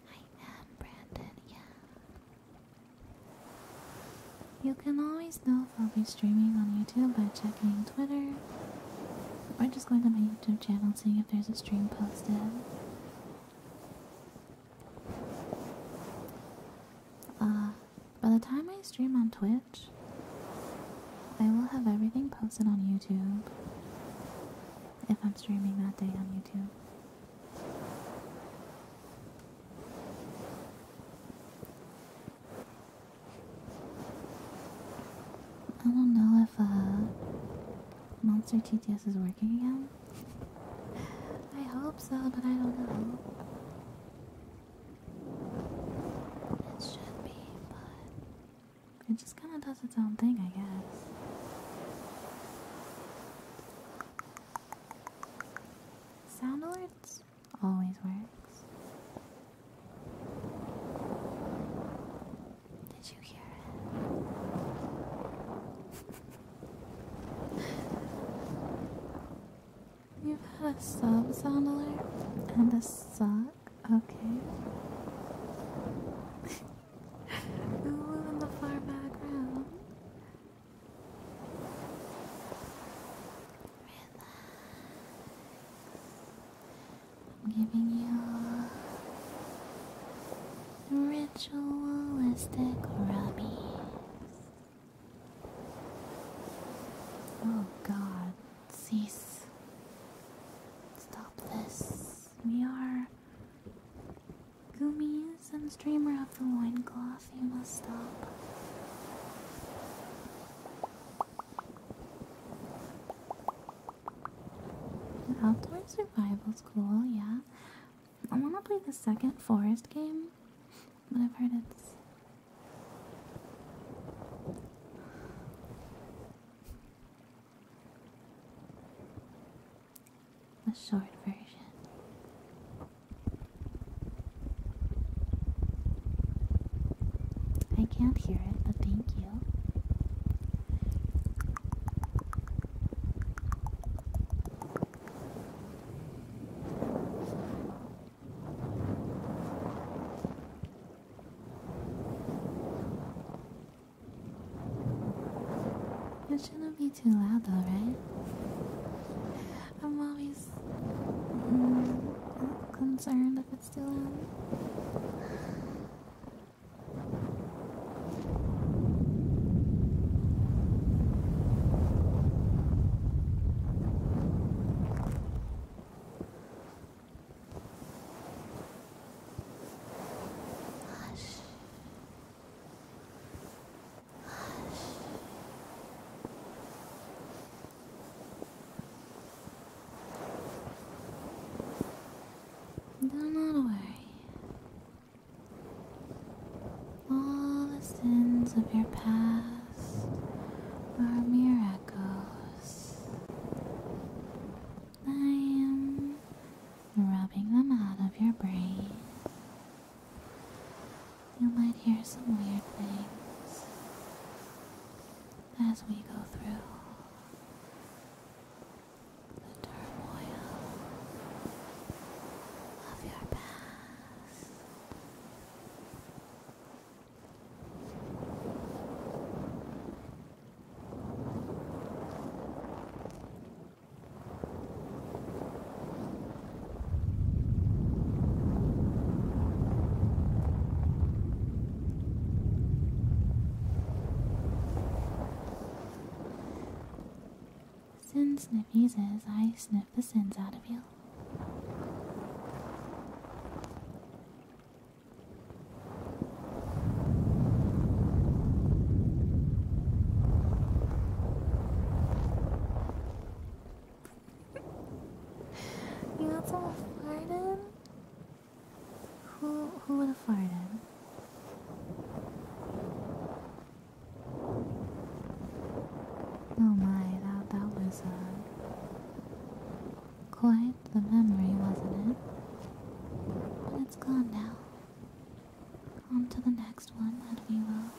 I am, Brandon, yeah. You can always know if I'll be streaming on YouTube by checking Twitter or just going to my YouTube channel seeing if there's a stream posted. Uh, by the time I stream on Twitch, I will have everything posted on YouTube if I'm streaming that day on YouTube. I don't know if uh, Monster TTS is working again. I hope so, but I don't know. It should be, but it just kind of does its own thing, I guess. Sound alerts always works. Did you hear it? You've had a sub sound alert and a sock? Okay. Ooh, in the far background. I'm giving you ritualistic rubbies. Oh God, cease. Stop this. We are Gummies and streamer of the loincloth, you must stop. Outdoor survival's cool, yeah. I wanna play the second forest game, but I've heard it's the short version. I can't hear it, but thank you. It shouldn't be too loud though, right? I'm always mm, concerned if it's too loud. Hush. Do not worry. All the sins of your past are mere echoes I am rubbing them out of your brain. You might hear some weird things as we go through the turmoil of your past. Since sniffies as I sniff the sins out of you you got someone farted? Who who would have farted? Oh my, that that was uh, quite the memory, wasn't it? But it's gone now on to the next one and we will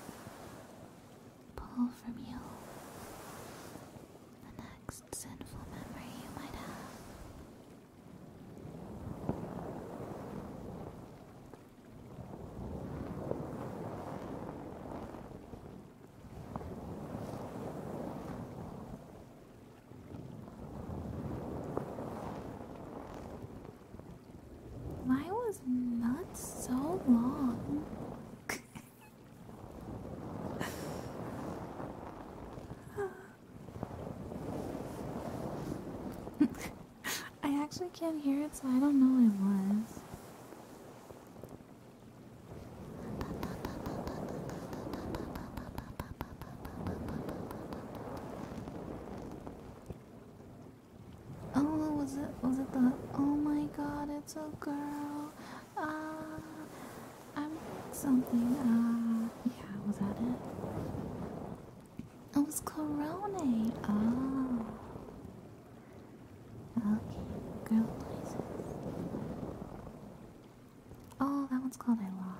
pull from you the next sinful memory you might have. Why was not so long? I actually can't hear it, so I don't know it was. Oh, was it? Was it the? Oh my God! It's a girl. Ah, I'm something. Ah, yeah. Was that it? Oh, it was Corona. Oh. Okay, girl noises. Oh, that one's called I Lost.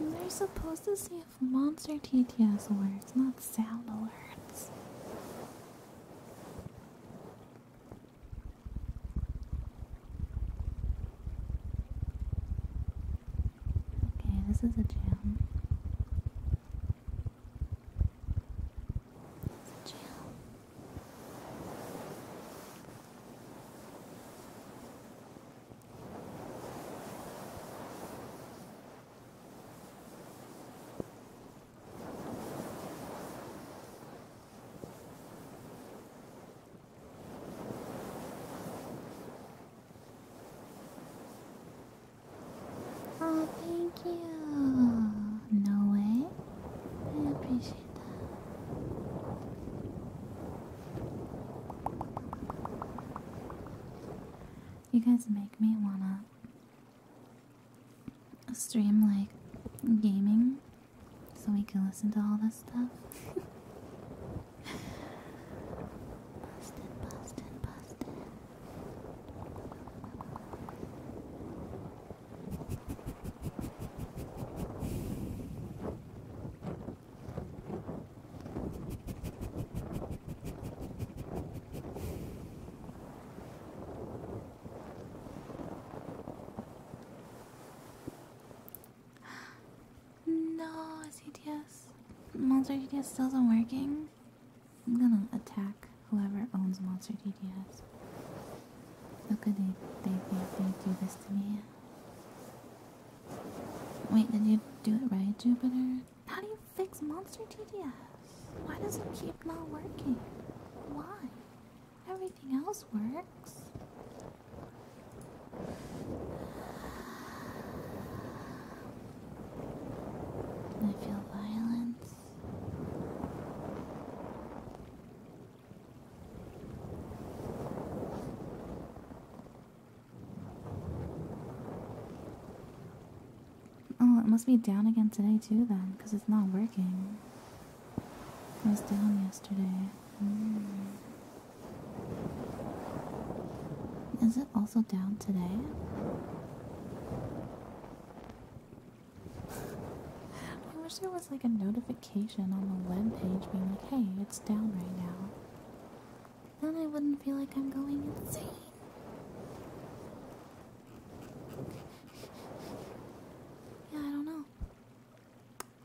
we are supposed to see if monster TTS works, not sound alerts. Okay, this is a gym. It's a gym. Oh, thank you. No way. I appreciate that. You guys make me wanna stream like gaming so we can listen to all this stuff. No, CTS. Monster DDS still isn't working. I'm gonna attack whoever owns Monster DDS. How could they, they, they, they do this to me? Wait, did you do it right, Jupiter? How do you fix monster TDS? Why does it keep not working? Why? Everything else works. I feel violence. Oh, it must be down again today too then, because it's not working. It was down yesterday. Hmm. Is it also down today? I wish there was like a notification on the web page being like, hey, it's down right now. Then I wouldn't feel like I'm going insane. Yeah, I don't know.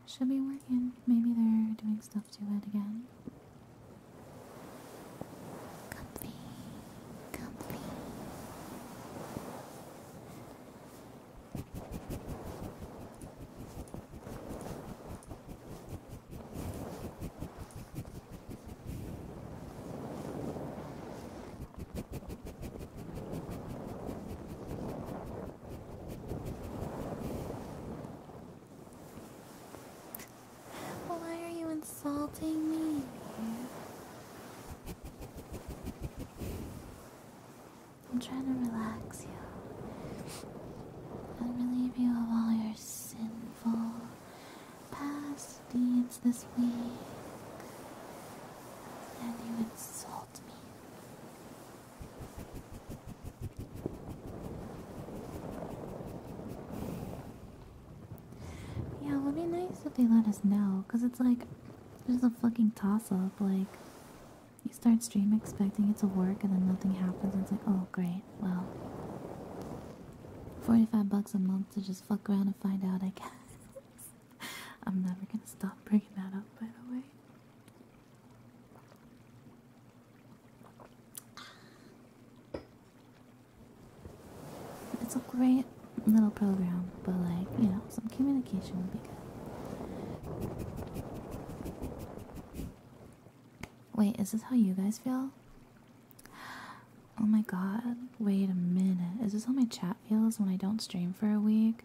Should be working. Maybe they're doing stuff too it again. Comfy, comfy. Why are you insulting me? I'm trying to relax you and relieve you of all your sinful past deeds this week. And you insult me. Yeah, it would be nice if they let us know, because it's like, there's a fucking toss up. Like, you start stream expecting it to work and then nothing happens, it's like, oh great, well, 45 bucks a month to just fuck around and find out, I guess. I'm never gonna stop bringing that up, by the way. It's a great little program, but like, you know, some communication would be good. Wait, is this how you guys feel? Oh my god, wait a minute. Is this how my chat feels when I don't stream for a week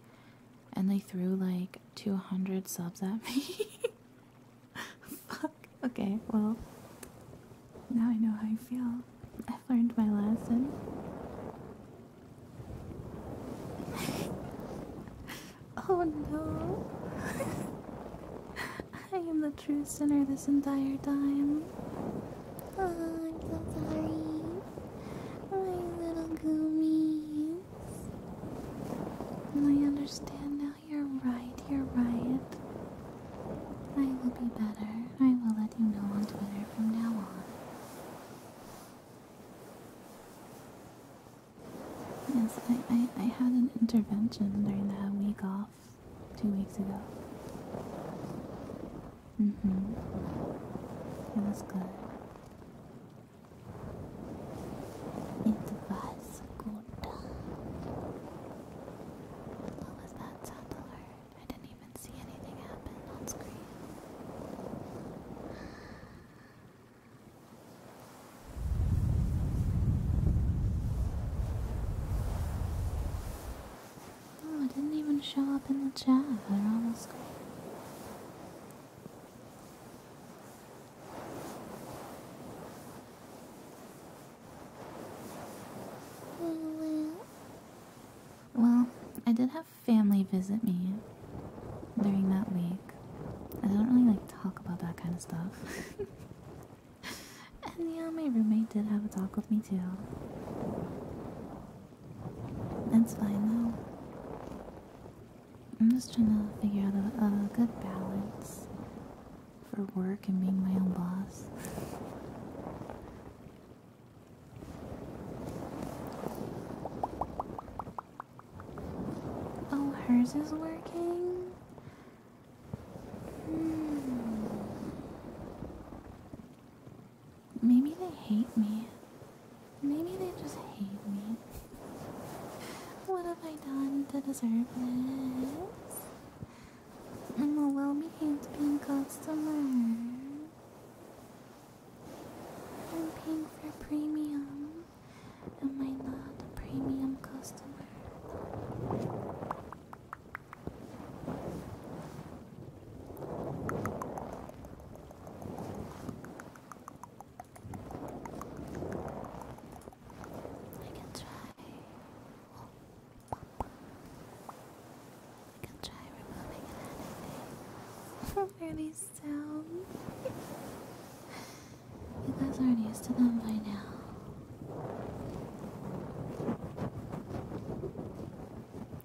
and they threw like 200 subs at me? Fuck. Okay, well, now I know how you feel. I've learned my lesson. Oh no. I am the true sinner this entire time. Oh, I'm so sorry. My little goomies. I understand now. You're right. You're right. I will be better. I will let you know on Twitter from now on. Yes, I, I, had an intervention during that week off two weeks ago. Mm hmm. It was good. It was good. What was that sound alert? I didn't even see anything happen on screen. Oh, it didn't even show up in the chat. They're almost gone. Well, I did have family visit me during that week. I don't really like talk about that kind of stuff. and yeah, my roommate did have a talk with me too. That's fine though. I'm just trying to figure out a, a good balance for work and being my own boss. Oh, hers is working? Maybe they hate me. Maybe they just hate me. What have I done to deserve this? I'm a well-behaved pink customer. I'm paying for premium. Am I not a premium customer? I can try. I can try removing an anime. Early sound. You guys aren't used to them by now.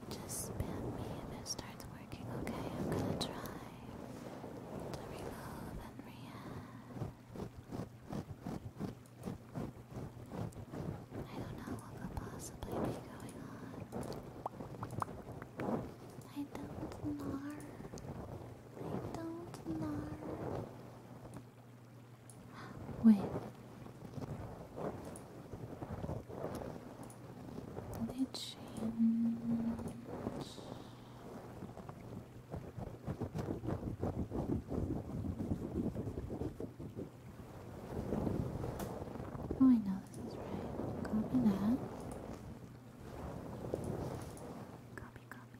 Just spam me if it starts working, okay? I'm gonna try to reload and react. I don't know what could possibly be going on. I don't know. I don't know. Wait. Did change? Oh, I know this is right. Copy that. Copy, copy.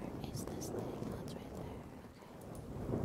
Where is this thing? Oh, it's right there. Okay.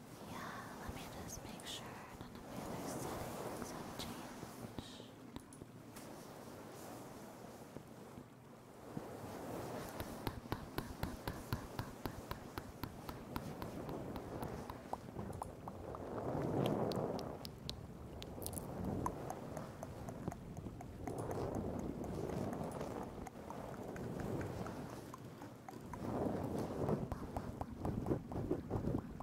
Yeah, let me just make sure none of the settings have changed.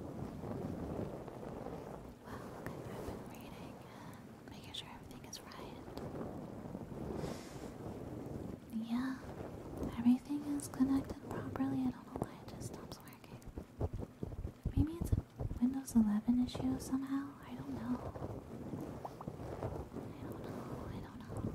Well, I've been reading making sure everything is right. Yeah, everything is connected properly. I don't know why it just stops working. Maybe it's Windows 11 issue somehow. I don't know. I don't know. I don't know.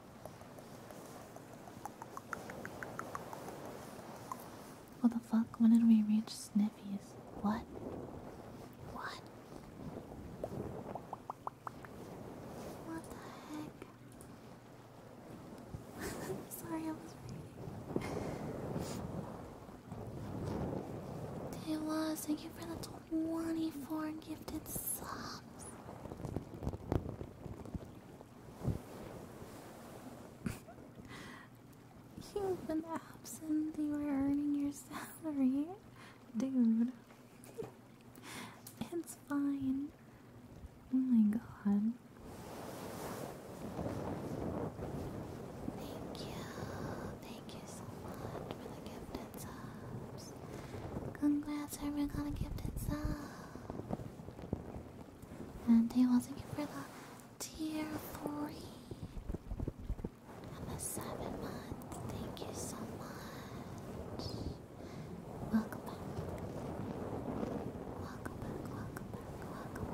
What the fuck? When did we reach Sniffy's? What? What? What the heck? I'm sorry, I was reading. Day was, thank you for the 24 gifted sub. You've been absent. You were earning your salary, dude. it's fine. Oh my god. Thank you. Thank you so much for the gift and subs. Congrats, Herman got a gift itself. And he was looking for the tier 3. I'm 7 month. Thank you so much. Welcome back. Welcome back, welcome back, welcome back.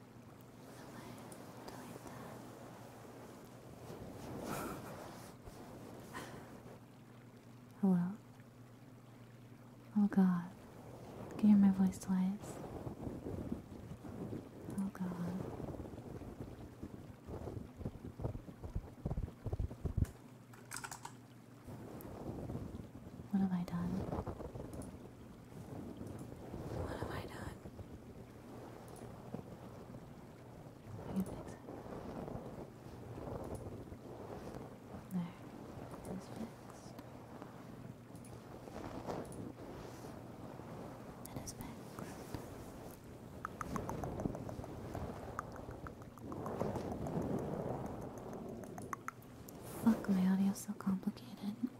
Hello? Oh god. Can you hear my voice twice? Oh god. What have I done? What have I done? There, it's fixed. It is fixed. Fuck, my audio's so complicated.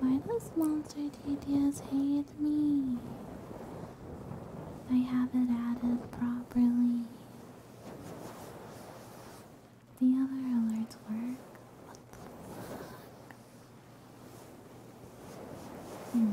Why does monster TTS hate me. I haven't added properly. The other alerts work. Hmm.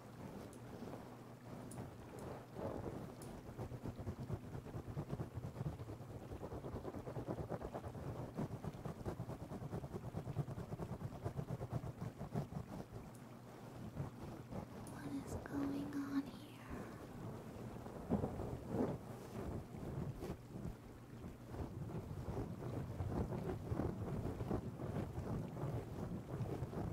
What is going on here?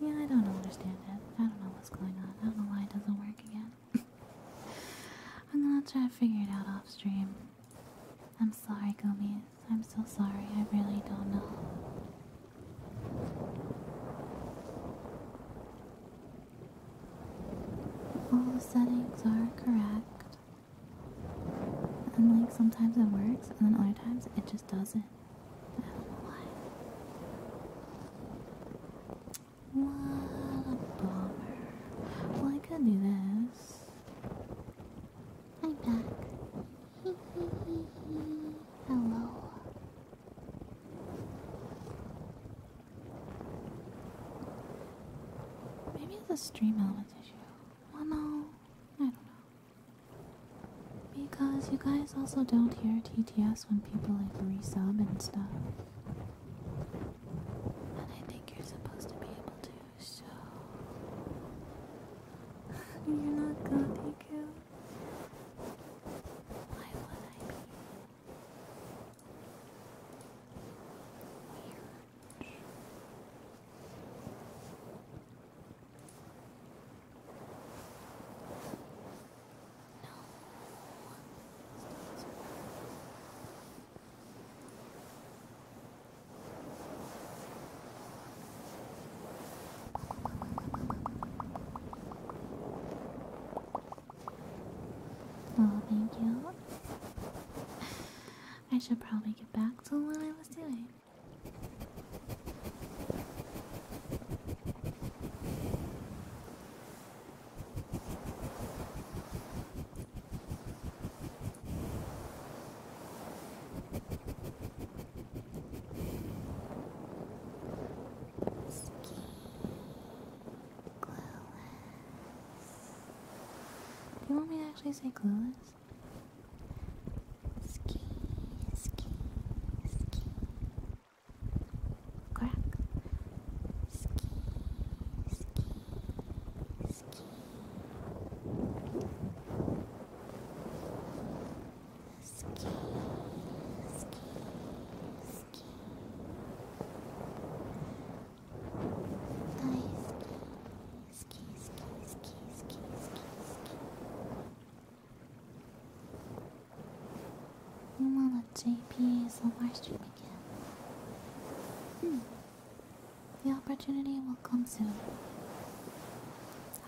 Yeah, I don't understand it. I don't know what's going on. I don't know why it doesn't work again. I'm gonna try to figure it out off stream. I'm sorry, Gummies. I'm so sorry. I really don't know. All the settings are correct. And like sometimes it works and then other times it just doesn't. What a bummer. Well, I could do this. I'm back. Hello. Maybe it's a stream element issue. Well, no. I don't know. Because you guys also don't hear T Yes, when people like resub and stuff. And I think you're supposed to be able to, so. you're not copy -coo. Why would I be? Weird. Oh, thank you. I should probably get back to what I was doing. You want me to actually say clueless? Crack. Ski, ski, ski. Ski, ski, ski. Nice. Ski, ski, ski, ski, ski, ski, ski. Mama JP is a live stream again. Hmm. The opportunity will come soon.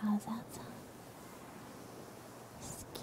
How's that sound? Ski.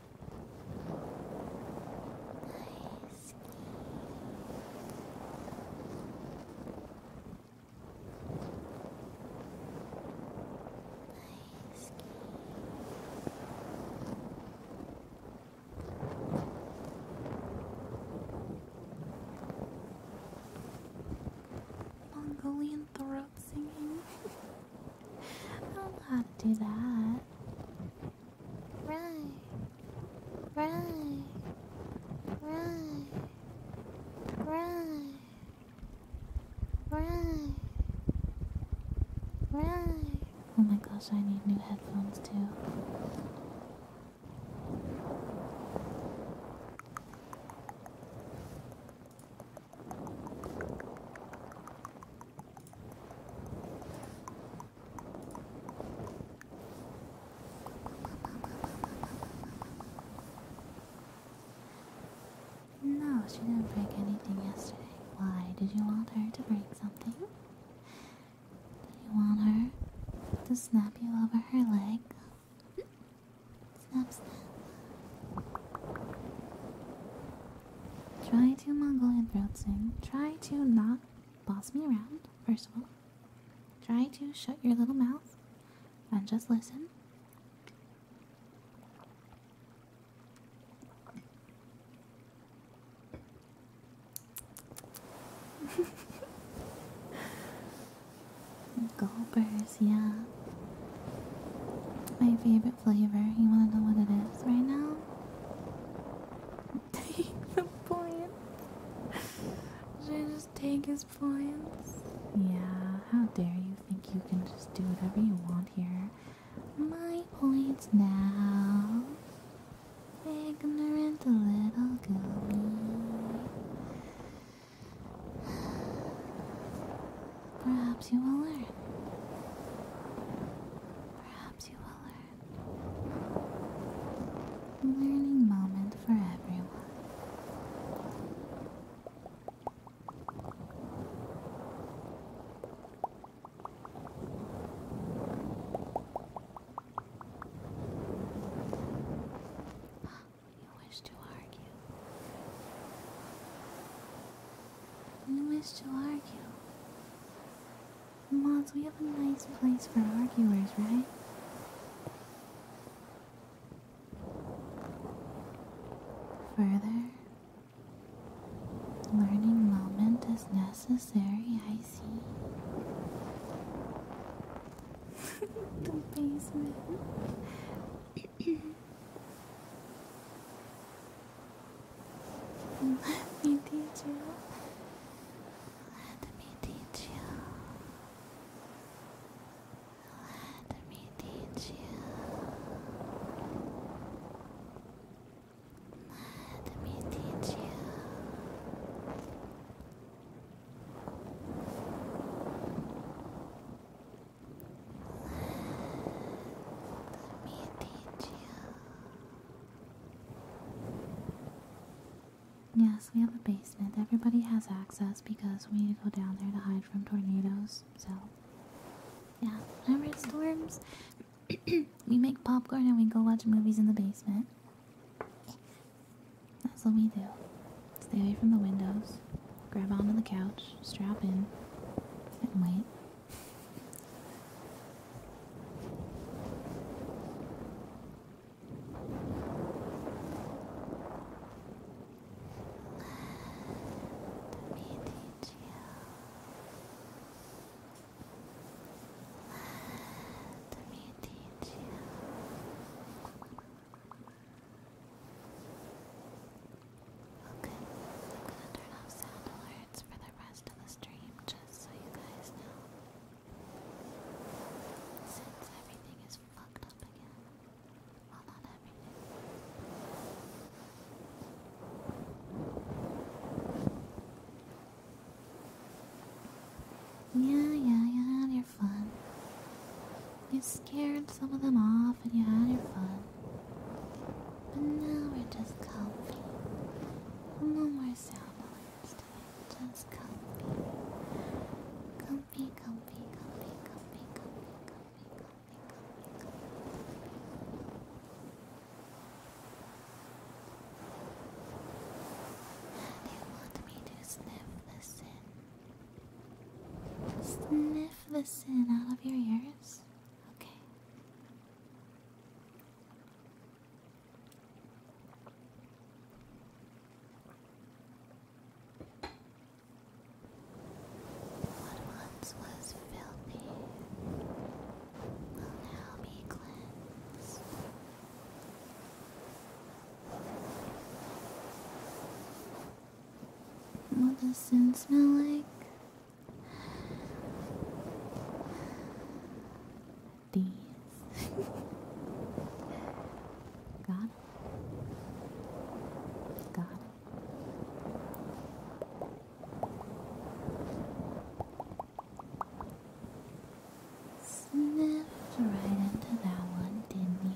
Nice. Nice. Mongolian throat singing. I don't know how to do that. Right. Right. Right. Right. Right. Right. Oh my gosh, I need new headphones too. No, she didn't break anything yesterday. Why? Did you want her to break something? Did you want her to snap you over her leg? snap, Try to Mongolian throat sing. Try to not boss me around, first of all. Try to shut your little mouth and just listen. Gulpers, yeah. My favorite flavor. You want to know what it is right now? Take the points. Should I just take his points? Yeah, how dare you think you can just do whatever you want here. My points now. Ignorant little gummy. Perhaps you will learn. Perhaps you will learn. Learning moment for everyone. You wish to argue. You wish to argue. Mods, we have a nice place for arguers, right? Further, learning moment is necessary, I see. the basement. Let me teach you. Let me teach you. Let me teach you. Let me teach you. Let me teach you. Yes, we have a basement. Everybody has access because we need to go down there to hide from tornadoes. So, yeah, whenever it's storms, we make popcorn and we go watch movies in the basement. That's what we do. Stay away from the windows, grab onto the couch, strap in, and wait. Let me teach you. Let me teach you. Okay, I'm gonna turn off sound alerts for the rest of the stream just so you guys know. Since Yeah, yeah, you had your fun. You scared some of them off and you had your fun. But now we're just comfy. No more sound alerts just comfy. Comfy, comfy, comfy, comfy, comfy, comfy, comfy, comfy, comfy. They want me to sniff the sin. Sniff the sin out of your ears. Okay. What once was filthy will now be cleansed. What does sin smell like? these. Got Sniffed right into that one, didn't you?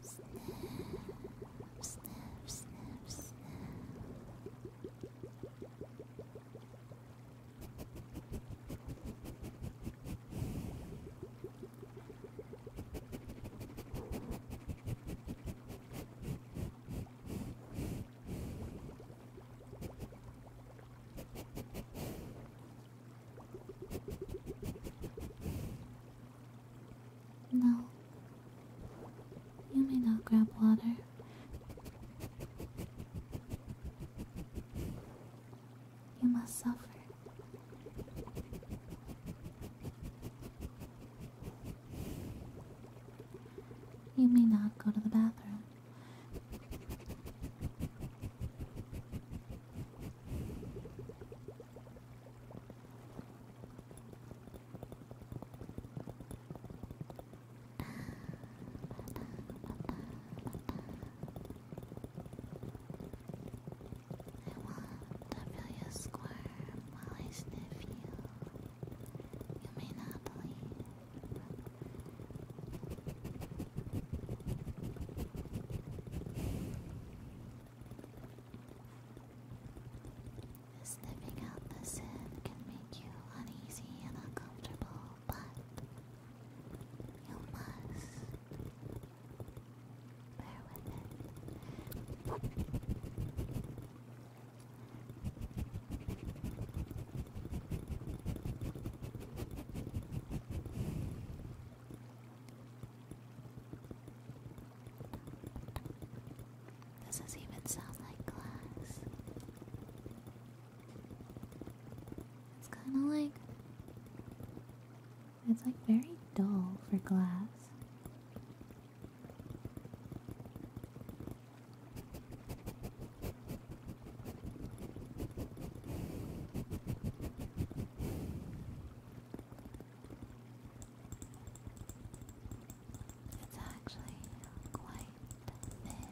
Snap, snap, snap, snap. No. You may not grab water. You must suffer. You may not go to the bathroom want to feel you squirm while I sniff you. You may not believe. Sniffing out the scent can make you uneasy and uncomfortable, but you must bear with it. Doesn't even sound like glass. It's kind of like. It's like very dull for glass. It's actually quite thin.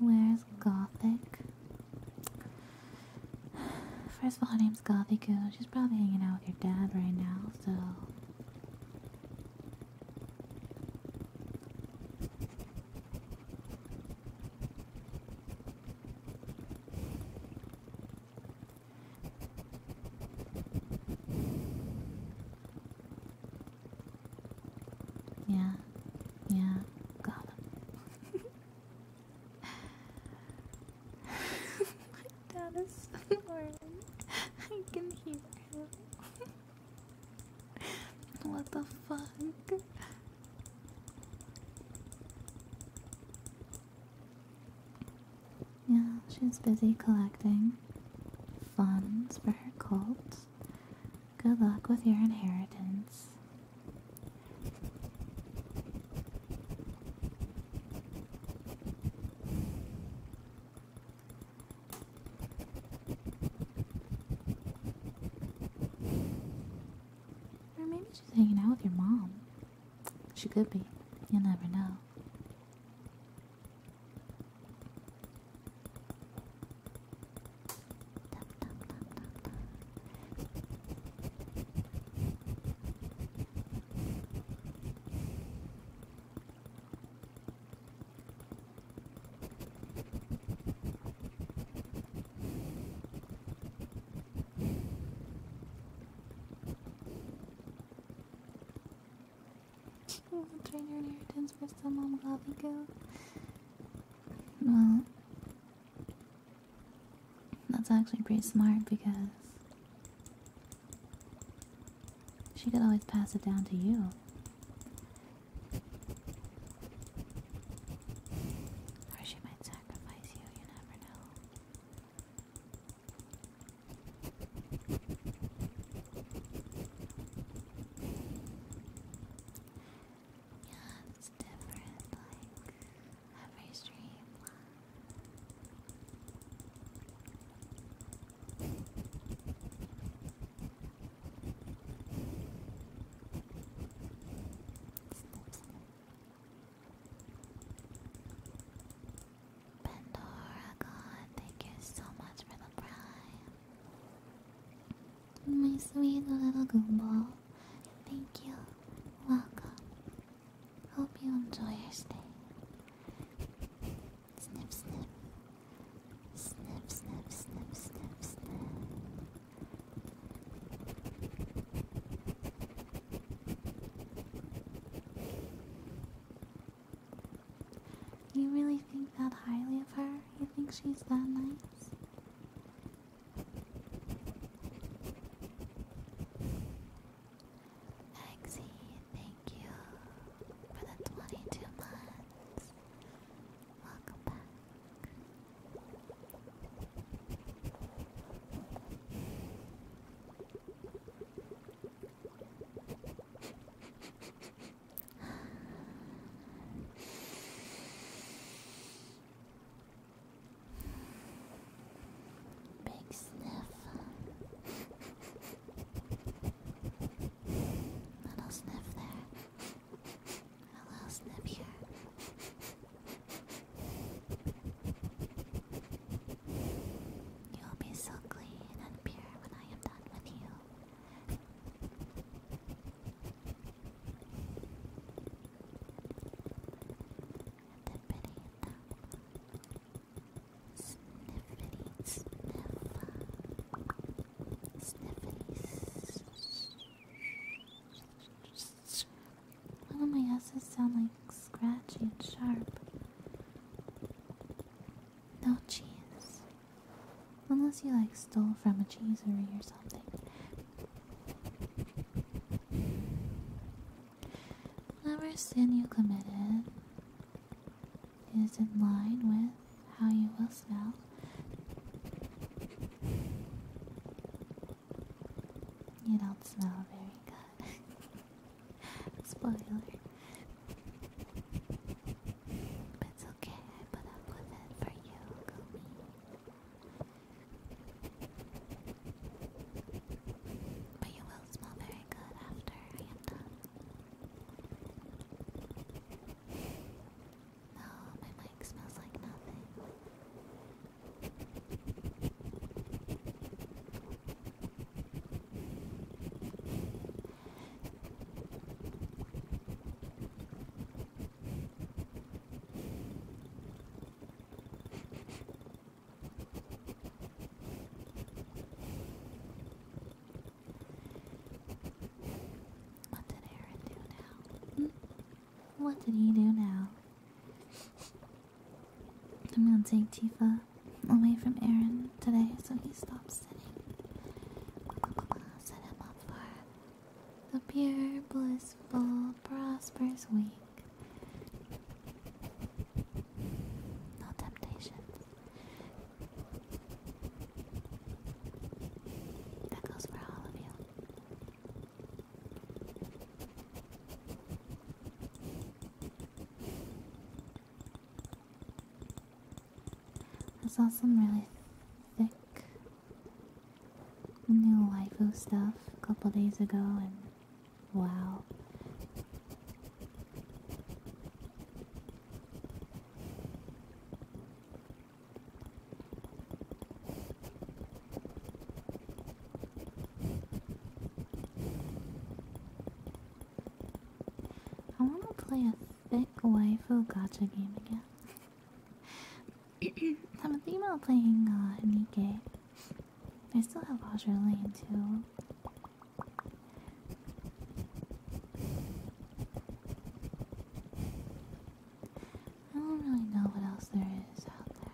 Where's Gothic? First of all, I name's Coffee Goo. She's probably hanging out with your dad right now, so. Yeah, yeah, got My dad is snoring. I can hear him. what the fuck? Yeah, she's busy collecting funds for her cult. Good luck with your inheritance. Or maybe she's hanging out with your mom. She could be. You will never know. Trade your inheritance for some gobbledygook. Well, that's actually pretty smart because she could always pass it down to you. Or she might sacrifice you, you never know. Yeah, it's different, like every stream. Pandora God, thank you so much for the prize, My sweet little Goomball, thank you. Welcome. Hope you enjoy your stay. Snip, snip. Snip, snip, snip, snip, You really think that highly of her? You think she's that nice? Exy, thank you for the 22 months. Welcome back. Big sniff. A little sniff there. A little sniff here. You'll be so clean and pure when I am done with you. Dippity dip, Sniffity sniff. my S's sound like scratchy and sharp. No cheese. Unless you like stole from a cheeseery or something. Whatever sin you committed is in line with how you will smell. You don't smell very good. Spoiler. But it's okay, I put up with it for you, Gumi. But you will smell very good after I am done. No, my mic smells like nothing. What did Aaron do now? Hmm? What did he do now? I'm gonna take Tifa away from Aaron today so he stops sitting. Set him up for the pure, blissful, prosperous week no temptations. That goes for all of you. I saw some really thick new LIFO stuff a couple days ago, and Wow. I want to play a thick waifu gacha game again. I'm thinking about playing uh, Nikkei. I still have Azure Lane too. I don't really know what else there is out there.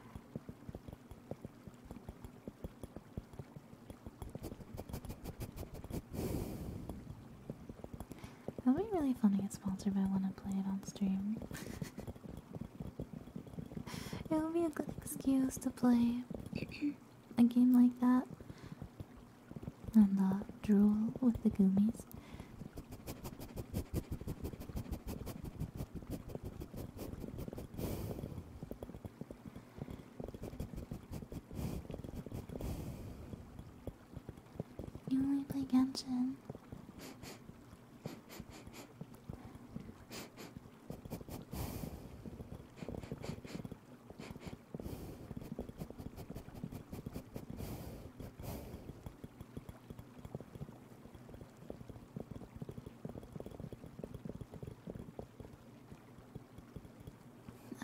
That will be really fun to get sponsored by one and play it on stream. it will be a good excuse to play a game like that. And uh, drool with the gummies. You only play Genshin.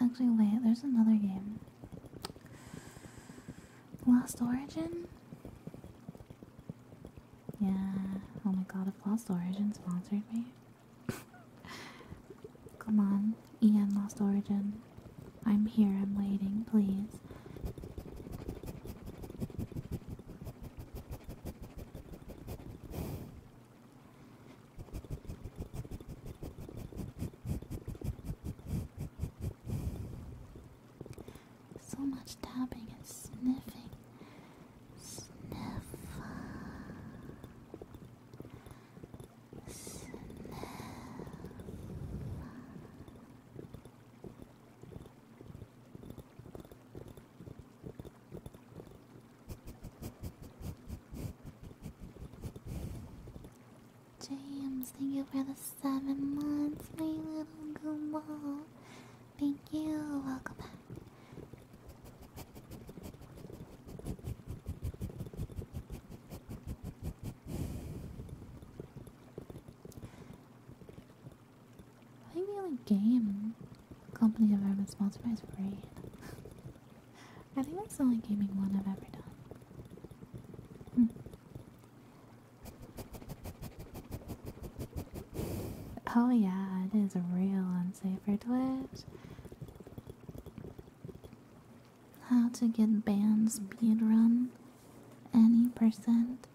Actually, wait, there's another game. Lost Origin? Yeah, oh my god, if Lost Origin sponsored me. Come on, Ian lost origin. I'm here, I'm waiting, please. So much tapping and sniffing. Sniff. James, thank you for the seven months, my little Gumball. Thank you, welcome back. I think the only game company I've ever been sponsored is Raid. I think that's the only gaming one I've ever done. Hmm. Oh yeah, it is real unsafe for Twitch. How to get banned speedrun any percent.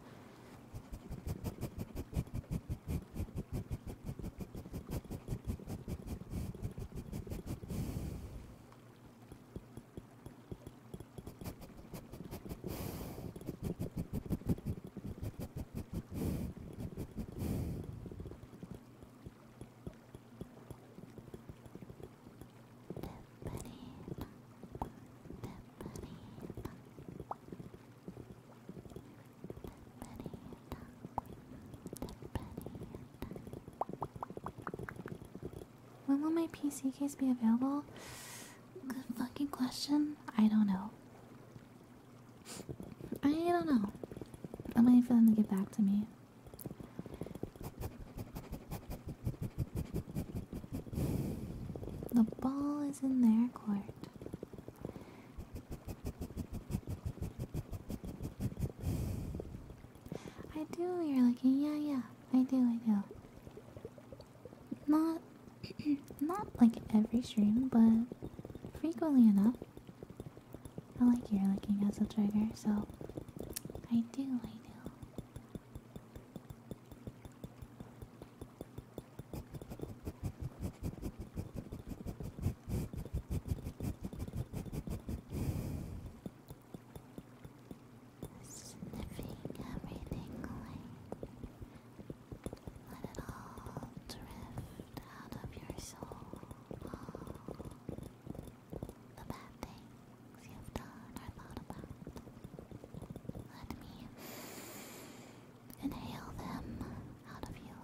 When will my PC case be available? Good fucking question. I don't know. I don't know. I'm waiting for them to get back to me. The ball is in their court. I do, you're looking. Yeah, yeah. I do, I do. Not, not like every stream, but frequently enough. I like your licking as a trigger, so I do, I do. Sniffing everything Let it all drift out of your soul all the bad things you've done or thought about. Let me inhale them out of you.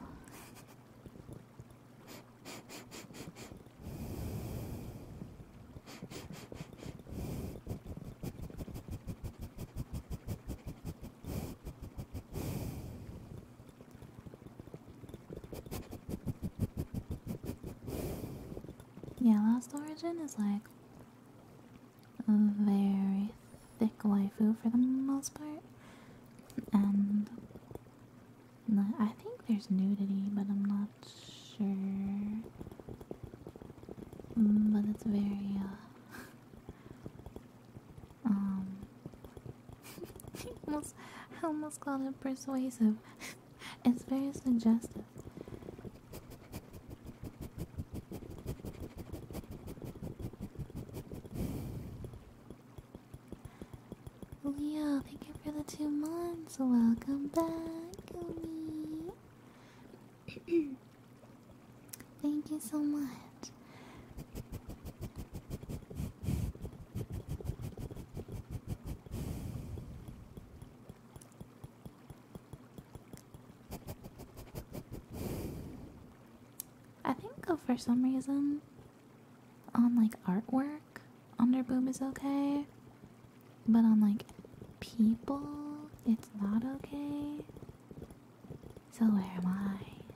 Yeah, Last Origin is like a very thick waifu for the most part. And I think there's nudity, but I'm not sure. But it's very, uh, Um, I almost called it persuasive. it's very suggestive. Leo, thank you for the two months. Welcome back, Thank you so much. I think for some reason on like artwork underboob is okay, but on like people it's not okay. So where am I?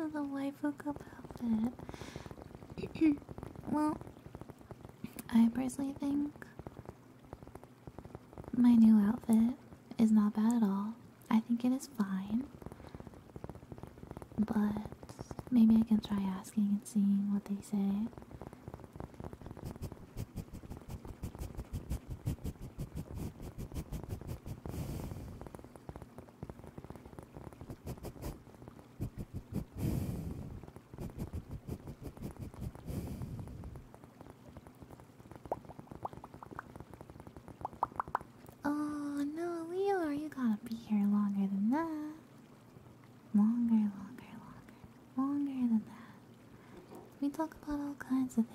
I don't know well, I personally think my new outfit is not bad at all. I think it is fine. But maybe I can try asking and seeing what they say. Oh no, Leo, you gotta be here longer than that. Longer, longer, longer, longer than that. We talk about all kinds of things.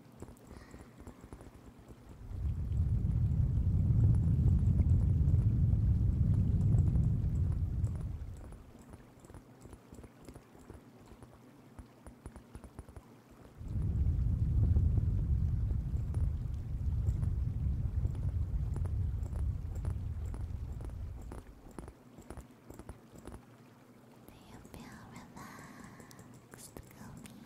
Do you feel relaxed, Gomi?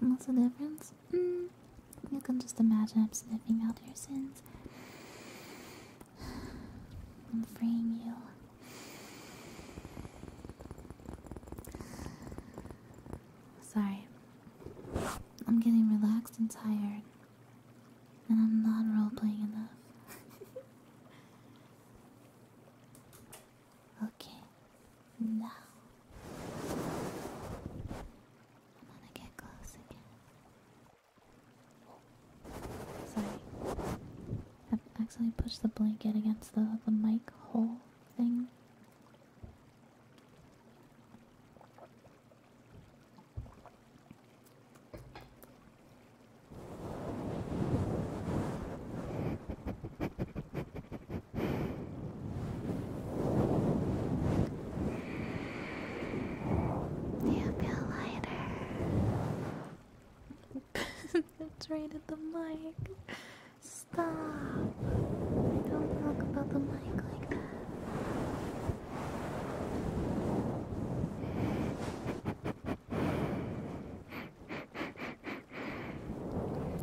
What's the difference? Mm, you can just imagine I'm sniffing out your sins. I'm freeing you. Sorry. I'm getting relaxed and tired. And I'm not roleplaying enough. okay, now I'm gonna get close again. Sorry, i accidentally pushed the blanket against the, the mic hole thing. You feel lighter. That's right at the mic. Stop. Don't talk about the mic like that.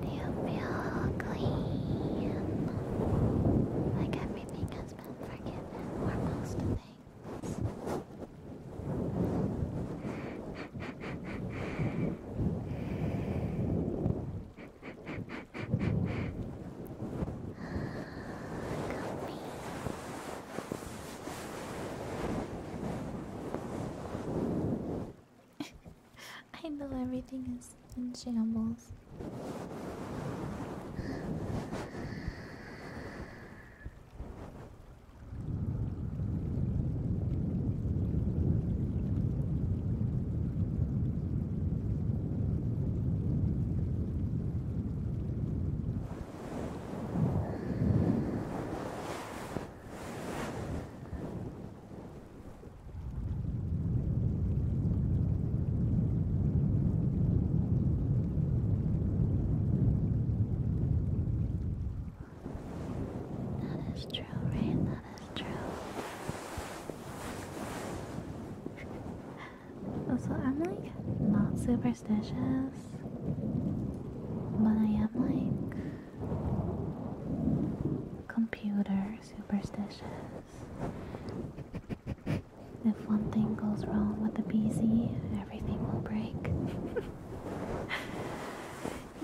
You feel clean. Like everything has been forgiven, or most things. Comfy. I know everything is in shambles. That is true, right? That is true. So I'm like not superstitious, but I am like computer superstitious. If one thing goes wrong with the PC, everything will break.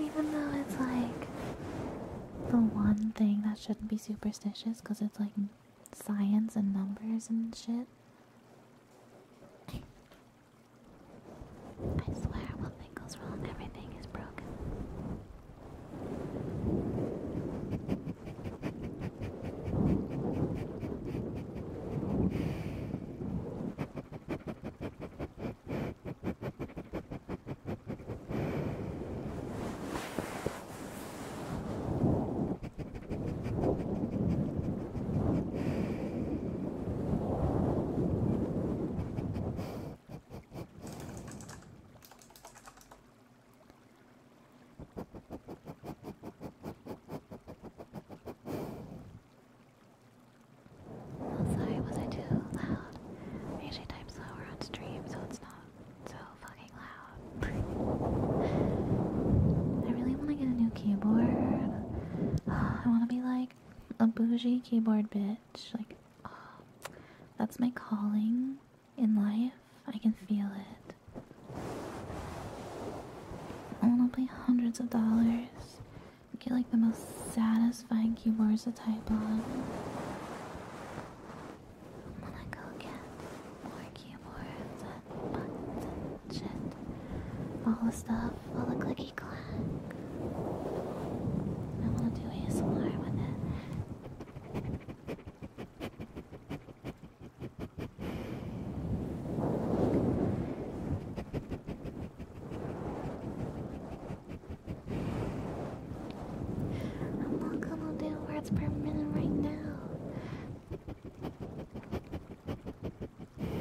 Even though it's like the one thing that shouldn't be superstitious because it's like science and numbers and shit. I swear when thing goes wrong, everything is broken. Sorry, was I too loud? usually type slower on stream, so it's not so fucking loud. I really want to get a new keyboard. I want to be like a bougie keyboard bitch. Like, that's my calling in life. I can feel it. I want to pay hundreds of dollars. Get like the most satisfying keyboards to type on. I wanna go get more keyboards and All the stuff, all the clicky clack. I want to do ASMR with it. I'm not gonna do words per minute right now.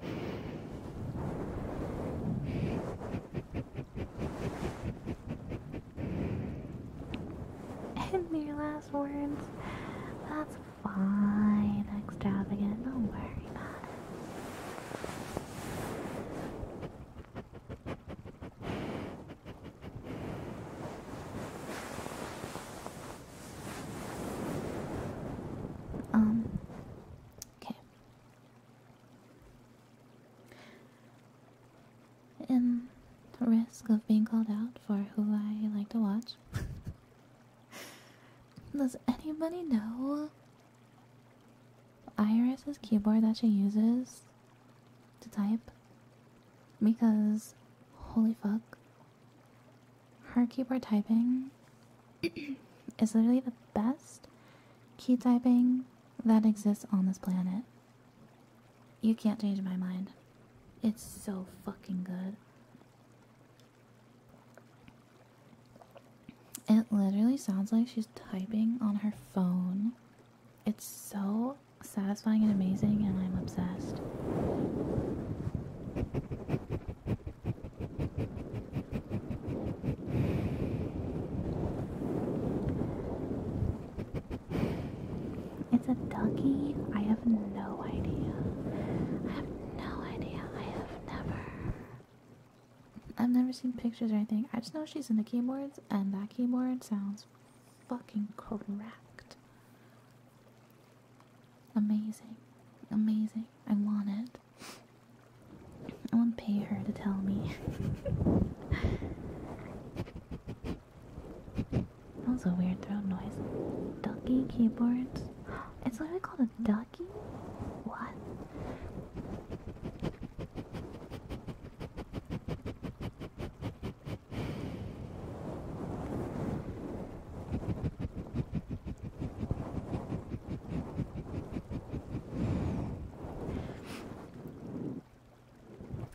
And your last words. That's fine, extravagant. Don't worry about it. Um. Okay. In the risk of being called out for who I like to watch. Does anybody know Iris's keyboard that she uses to type? Because, holy fuck, her keyboard typing is literally the best key typing that exists on this planet. You can't change my mind. It's so fucking good. It literally sounds like she's typing on her phone. It's so satisfying and amazing, and I'm obsessed. It's a donkey. I have no idea. I have no idea. I have never. I've never seen pictures or anything. I just know she's in the keyboards, and that keyboard sounds fucking correct. Amazing. Amazing. I want it. I won't pay her to tell me. that was a weird throat noise. Ducky keyboards. It's literally called a ducky? What?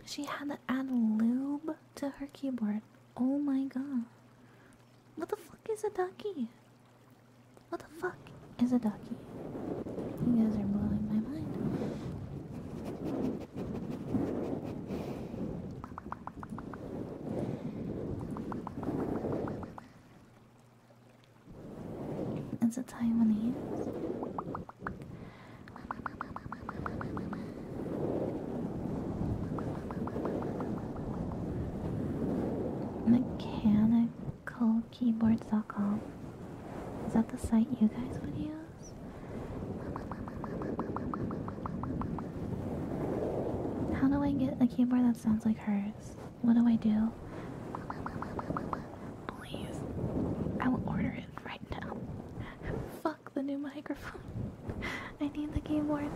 She had to add lube to her keyboard. Oh my god. What the fuck is a ducky? What the fuck is a ducky? You guys are blowing my mind. It's a Taiwanese. keyboards.com. Is that the site you guys would use? How do I get a keyboard that sounds like hers? What do I do? Please. I will order it right now. Fuck the new microphone. I need the keyboard.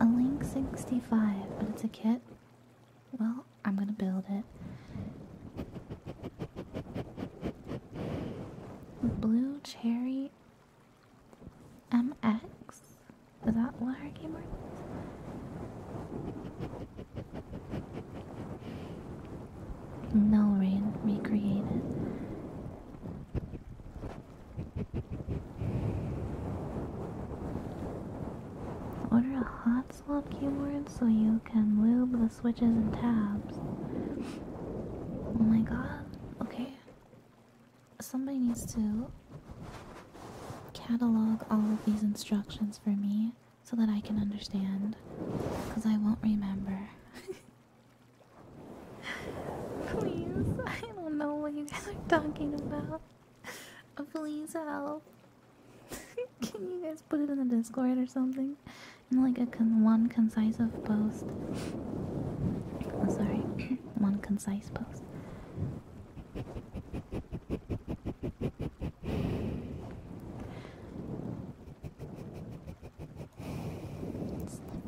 A Link 65, but it's a kit? Well, I'm gonna build it. Blue Cherry MX? Is that what her keyboard no rain recreated. Order a hot swap keyboard so you can lube the switches and tabs. Oh my god. Okay. Somebody needs to catalog all of these instructions for me so that I can understand. Because I won't remember. Please, I don't know what you guys are talking about. Uh, please help. Can you guys put it in the Discord or something? In like a oh, one concise post. sorry, one concise post. It's the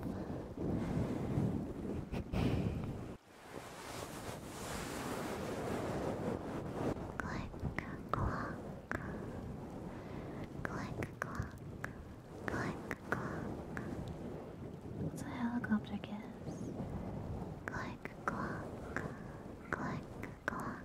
Click clock. Click clock. Click clock. It's a helicopter kiss. Click clock. Click clock.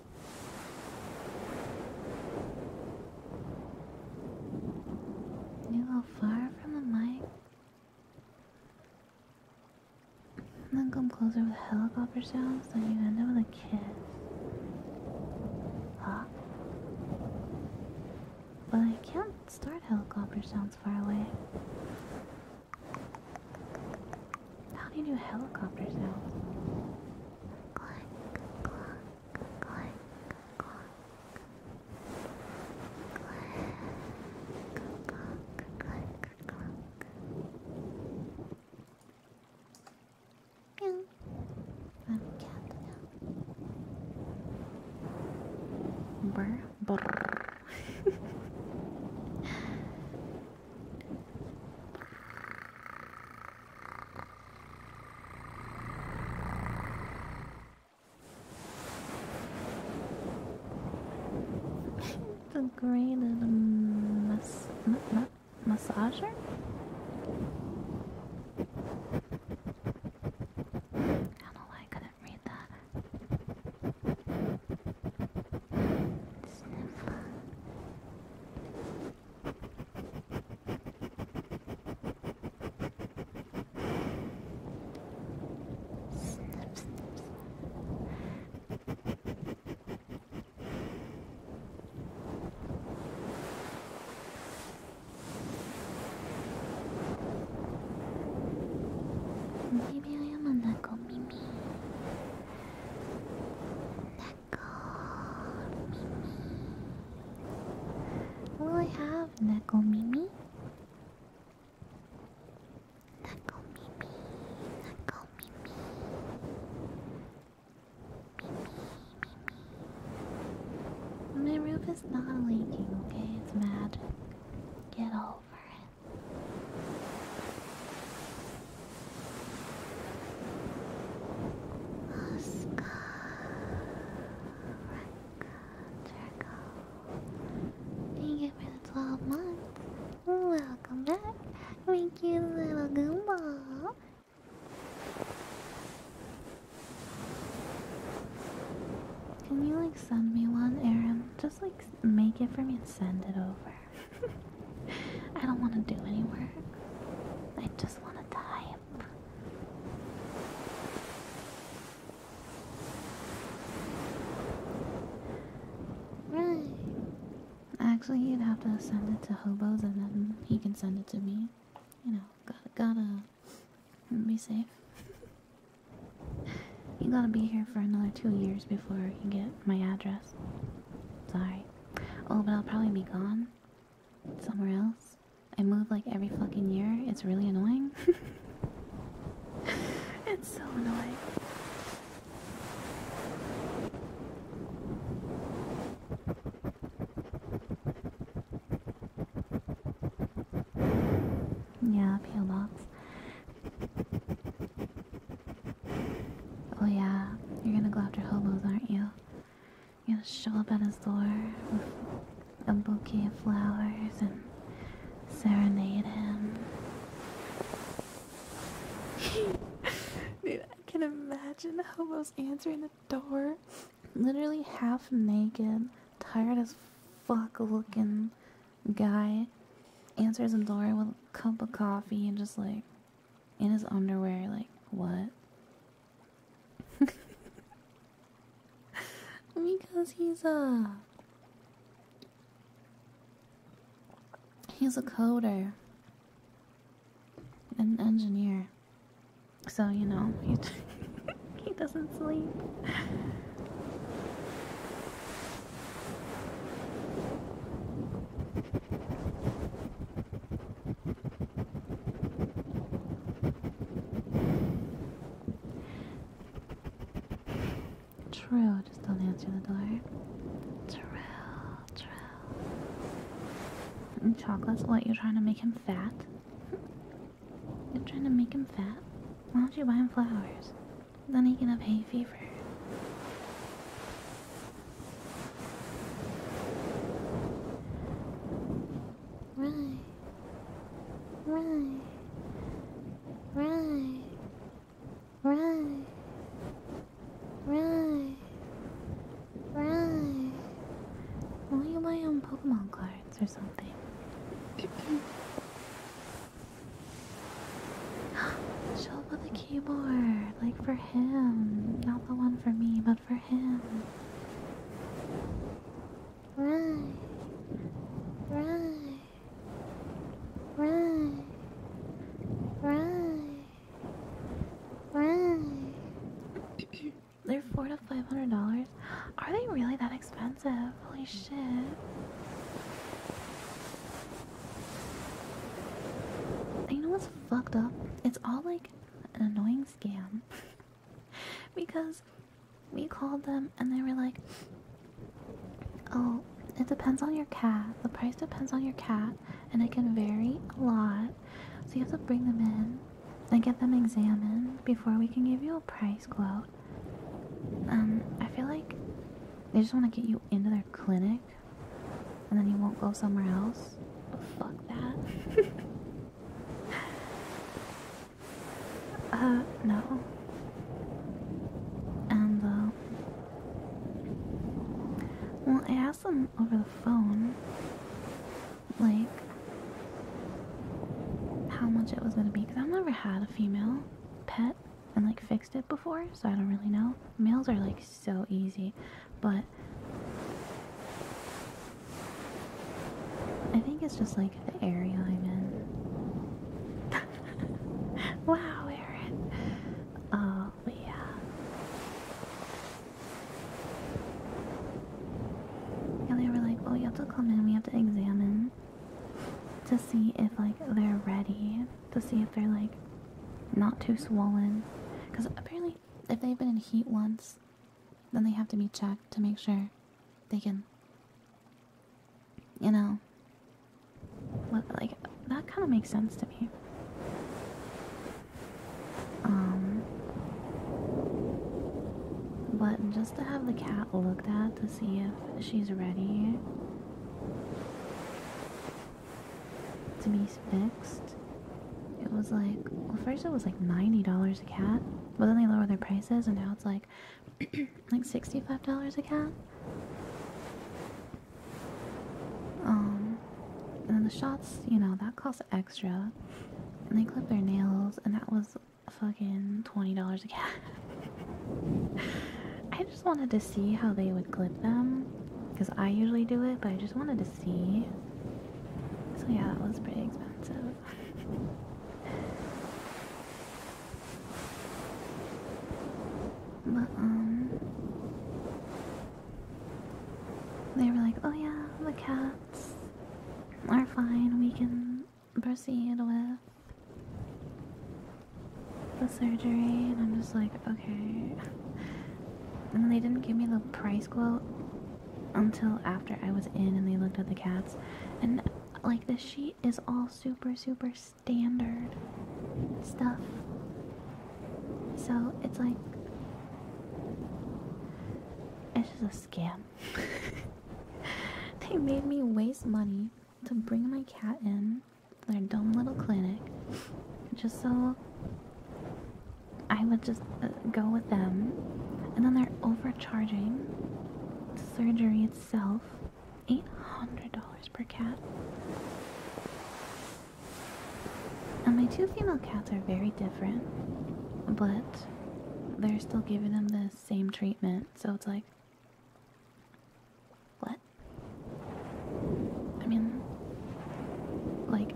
A little far from the mic. And then come closer with helicopter sounds, then you end up with a kiss. Huh? But I can't start helicopter sounds far away. How do you do helicopter sounds? Clank, clank, clank, clank. Clank, clank, clank, clank. Meow. I'm a cat now. Brr, brr. the great little mas ma ma massager. I don't know why I couldn't read that. お耳を読むんだかお耳な Mimi. Will have Neko Mimi? Neko Mimi. Mimi, Mimi. My roof is not leaking, okay? It's magic. Get over it. Thank you for the 12 months. Welcome back. Thank you, little Goomba. Can you like send me one, Aram? Just like make it for me and send it over. I don't want to do any work. I just want to die. Right. Actually, you'd have to send it to Hobos and then he can send it to me. You know, gotta be safe. You gotta be here for another two years before you get my address. Sorry. Oh, but I'll probably be gone somewhere else. I move like every fucking year. It's really annoying. it's so annoying. Yeah, peel box. Oh yeah, you're gonna go after hobos, aren't you? You're gonna show up at his door with a bouquet of flowers and serenade him. Dude, I can imagine hobos answering the door, literally half naked, tired as fuck looking guy answers the door with a cup of coffee and just like in his underwear, like, what? because he's a. He's a coder, an engineer. So, you know, he, he doesn't sleep. Trill just don't answer the door. Trill, Trill. And chocolates, what? You're trying to make him fat? You're trying to make him fat? Why don't you buy him flowers? Then he can have hay fever. Right. Right. Right. Right. Right. Right. Why you buy on Pokemon cards or something? Show up with keyboard, like for him. Not the one for me, but for him. Right. Right. Right. Right. Right. They're four to five hundred dollars. Are they really that expensive? Holy shit. You know what's fucked up. It's all like an annoying scam because we called them and they were like, Oh, it depends on your cat. The price depends on your cat and it can vary a lot. So you have to bring them in and get them examined before we can give you a price quote. Um, I feel like they just want to get you into their clinic and then you won't go somewhere else. Oh, fuck that. uh, no. And, uh, well, I asked him over the phone, like, how much it was gonna be, because I've never had a female pet and, like, fixed it before, so I don't really know. Males are, like, so easy, but I think it's just like the area I'm in. wow, Erin! Oh, yeah. Yeah, they were like, oh, you have to come in, we have to examine to see if like they're ready, to see if they're like not too swollen, because apparently if they've been in heat once, then they have to be checked to make sure they can, you know, like that kind of makes sense to me. Um, but just to have the cat looked at to see if she's ready to be fixed. It was like, well, first it was like $90 a cat, but then they lowered their prices, and now it's like, like $65 a cat. Um, and then the shots, you know, that costs extra. And they clip their nails, and that was fucking $20 a cat. I just wanted to see how they would clip them because I usually do it, but I just wanted to see so yeah, that was pretty expensive. but um they were like, oh yeah, the cats are fine, we can proceed with the surgery and I'm just like, okay and they didn't give me the price quote until after I was in and they looked at the cats. And like the sheet is all super, super standard stuff. So it's like, it's just a scam. they made me waste money to bring my cat in to their dumb little clinic just so I would just uh, go with them, and then they're overcharging surgery itself $800 per cat. And my two female cats are very different, but they're still giving them the same treatment, so it's like, what? I mean, like,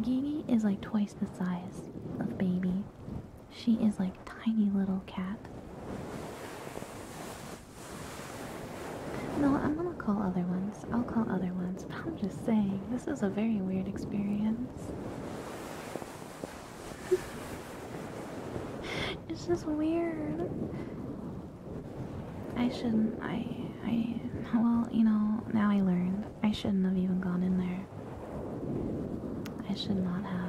Gigi is like twice the size of Baby. She is like tiny little cat. No, I'm gonna call other ones. I'll call other ones, but I'm just saying, this is a very weird experience. it's just weird. I shouldn't. I. I. Well, you know, now I learned. I shouldn't have even gone in there. I should not have.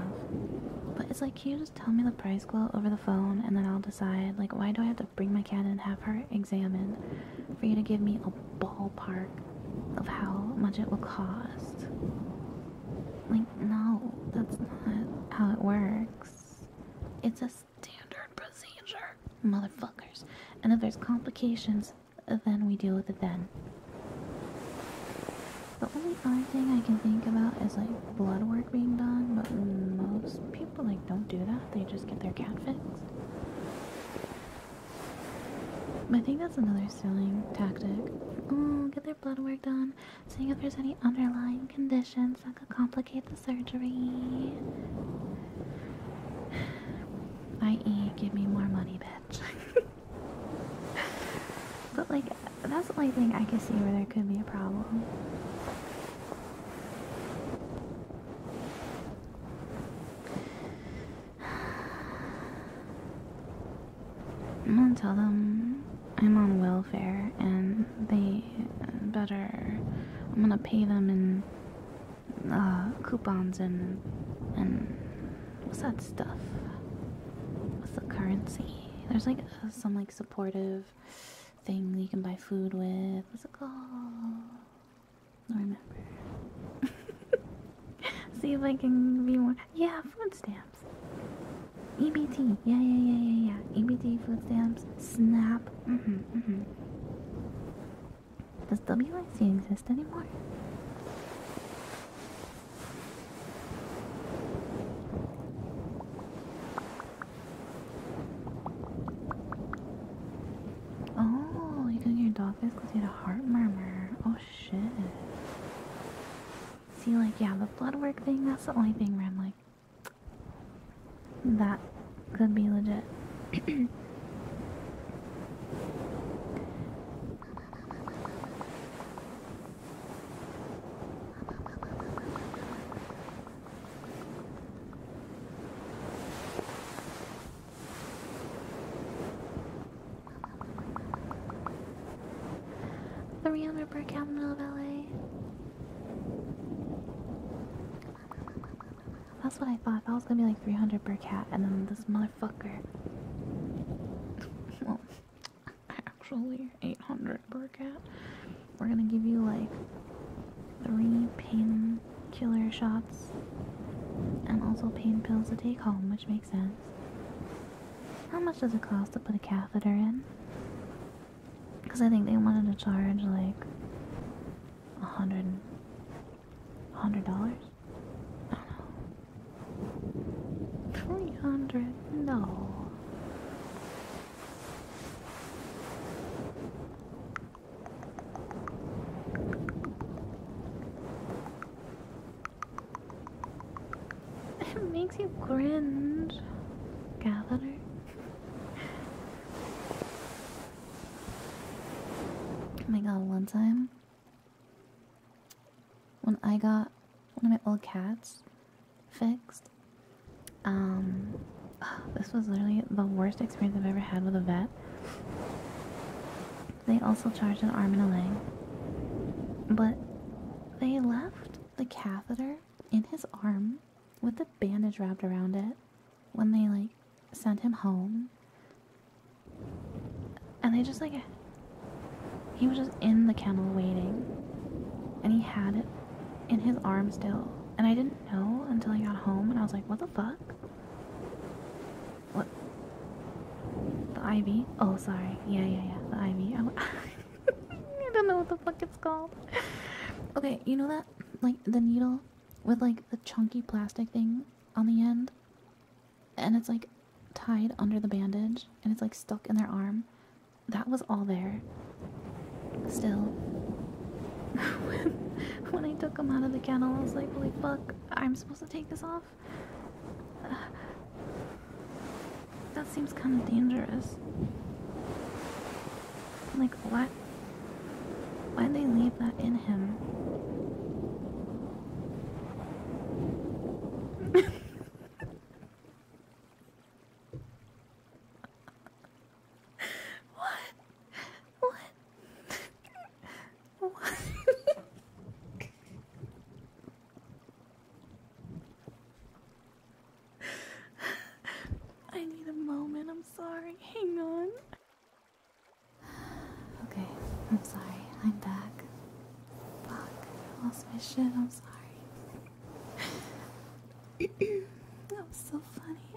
But it's like, can you just tell me the price quote over the phone and then I'll decide? Like, why do I have to bring my cat and have her examined for you to give me a ballpark of how much it will cost? Like, no, that's not how it works. It's a standard procedure, motherfuckers. And if there's complications, then we deal with it then. The only other thing I can think about is like blood work being done, but most people like don't do that. They just get their cat fixed. I think that's another selling tactic. Oh, get their blood work done, seeing if there's any underlying conditions that could complicate complicate the surgery. I.e., give me more money, bitch. but, like, that's the only thing I can see where there could be a problem. I'm gonna tell them I'm on welfare and they better. I'm gonna pay them in uh, coupons and and what's that stuff? What's the currency? There's like uh, some like supportive thing you can buy food with. What's it called? I remember. See if I can be more. Yeah, food stamps. EBT. Yeah, yeah, yeah, yeah, yeah. EBT food stamps. SNAP. Mm-hmm, mm-hmm. Does WIC exist anymore? Oh, you got your dog you had a heart murmur. Oh shit. See, like, yeah, the blood work thing, that's the only thing where I'm like, that could be legit. Three hundred per capital of LA. That's what I thought. That was gonna be like 300 per cat, and then this motherfucker. well, actually, 800 per cat. We're gonna give you like three painkiller shots and also pain pills to take home, which makes sense. How much does it cost to put a catheter in? Because I think they wanted to charge like a hundred, a hundred dollars? No. Three hundred? No. It makes you cringe, gatherer. Oh my god, one time when I got one of my old cats fixed, um, this was literally the worst experience I've ever had with a vet. They also charged an arm and a leg, but they left the catheter in his arm with the bandage wrapped around it when they like sent him home. And they just like he was just in the kennel waiting. And he had it in his arm still. And I didn't know until I got home and I was like, what the fuck? What? The ivy? Oh, sorry. Yeah, yeah, yeah. The ivy. I don't know what the fuck it's called. Okay, you know that? Like the needle with like the chunky plastic thing on the end, and it's like tied under the bandage and it's like stuck in their arm. That was all there. Still, when I took them out of the kennel, I was like, holy fuck, I'm supposed to take this off? that seems kind of dangerous. Like, what? Why'd they leave that in him? what? What? what? I need a moment, I'm sorry. Hang on. Okay, I'm sorry. I'm back. I lost my shit. I'm sorry. that was so funny.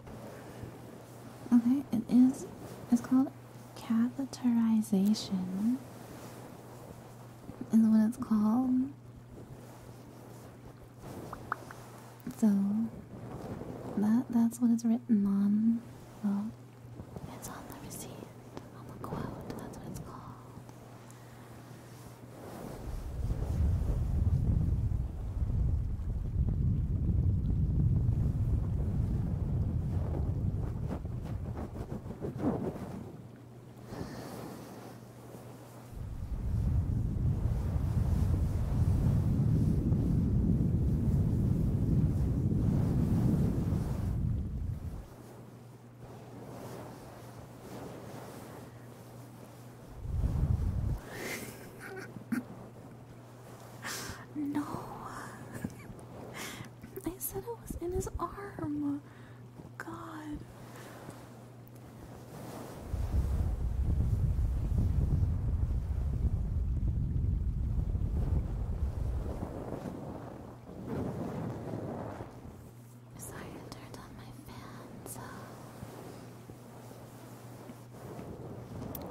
Okay, it is. It's called catheterization. Is what it's called. So that that's what it's written on. Well, it's on the receipt, on the quote. That's what it's called no, I said it was in his arm. God. Sorry, I turned on my fan, so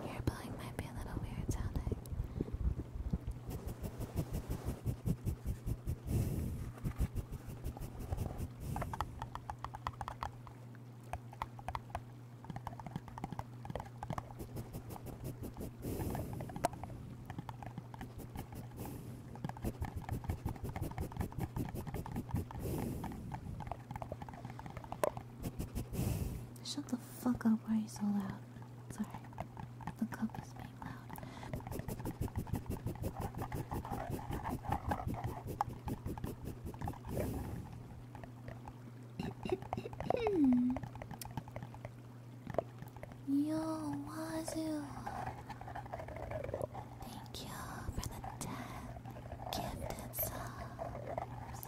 your blowing might be a little weird sounding. Shut the fuck up, why are you so loud? Sorry, the cup is being loud. Yo, Wazoo. Thank you for the 10 gifted subs.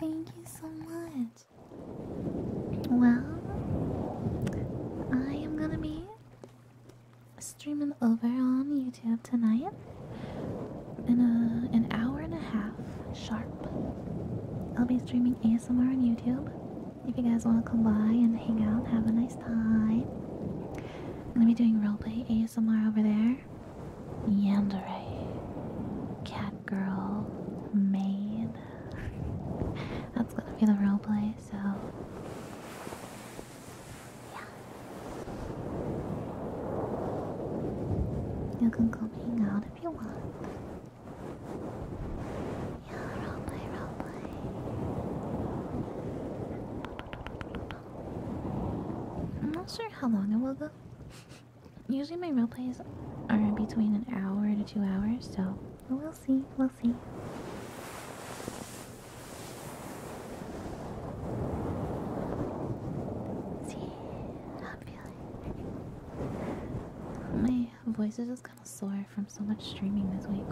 Thank you so much. Well, I am gonna be streaming over on YouTube tonight in a, an hour and a half sharp. I'll be streaming ASMR on YouTube. If you guys want to come by and hang out, have a nice time. I'm gonna be doing roleplay ASMR over there. Yandere, cat girl, maid. That's gonna be the roleplay, so. You can come hang out if you want. I'm not sure how long it will go. Usually my plays are between an hour to two hours, so we'll see, we'll see. See, I feel my voice is just kind of sore from so much streaming this week.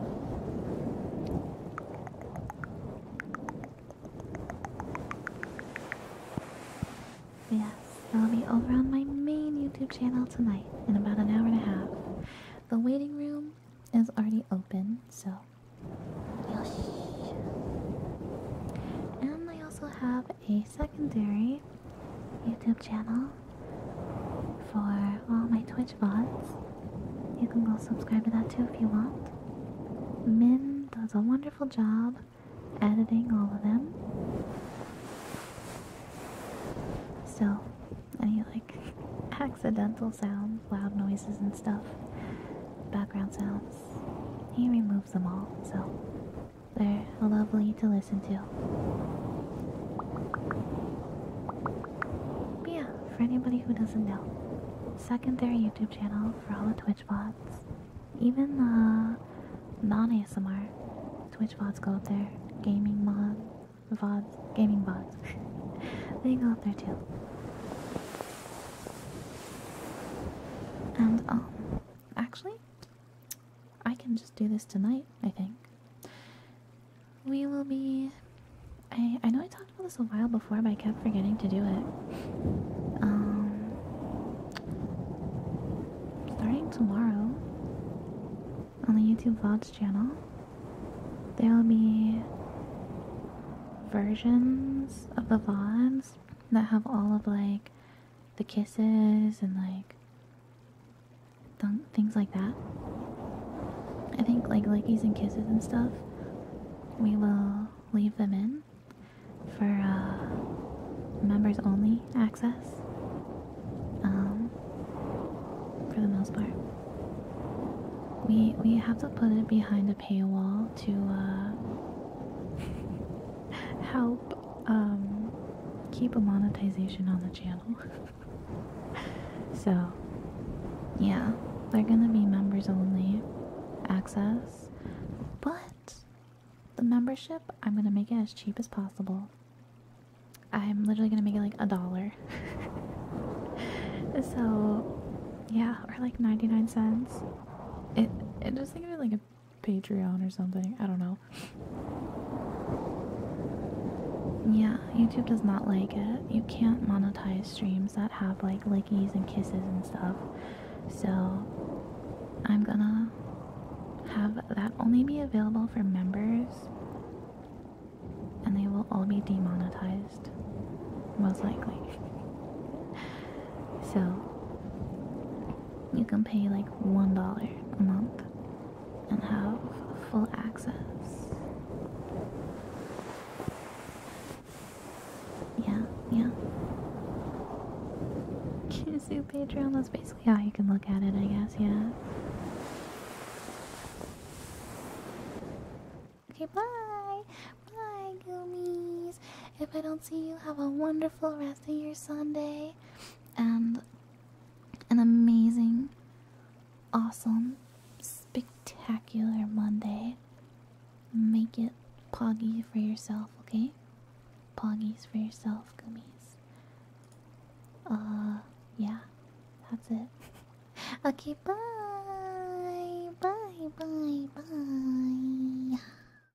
Yes, I'll be over on my main YouTube channel tonight in about an hour and a half. The waiting room is already open, so. Yosh. And I also have a secondary YouTube channel for all my Twitch bots. You can go subscribe to that too if you want. Min does a wonderful job editing all of them. So, any like accidental sounds, loud noises and stuff, background sounds, he removes them all. So, they're lovely to listen to. yeah, for anybody who doesn't know, second secondary YouTube channel for all the Twitch bots, even the non-ASMR Twitch bots go up there, gaming mod, vods, gaming bots, they go up there too. And um, Actually, I can just do this tonight, I think. We will be. I, I know I talked about this a while before, but I kept forgetting to do it. Um, starting tomorrow on the YouTube Vlogs channel, there will be versions of the VODs that have all of like the kisses and like things like that. I think like lickies and kisses and stuff, we will leave them in for uh, members only access um, for the most part. We, we have to put it behind a paywall to uh, help um, keep a monetization on the channel. so, yeah, they're gonna be members only access, but the membership I'm gonna make it as cheap as possible. I'm literally gonna make it like a dollar. so, yeah, or like 99 cents. It, it just think of it like a Patreon or something. I don't know. Yeah, YouTube does not like it. You can't monetize streams that have like lickies and kisses and stuff. So I'm gonna have that only be available for members and they will all be demonetized most likely so you can pay like one dollar a month and have full access. Yeah, yeah. Kizu Patreon, that's basically how you can look at it, I guess, yeah. Okay, bye! Bye, gummies! If I don't see you, have a wonderful rest of your Sunday and an amazing, awesome, spectacular Monday. Make it poggy for yourself, okay? Poggies for yourself, gummies. Uh, yeah, that's it. okay, bye! Bye, bye, bye!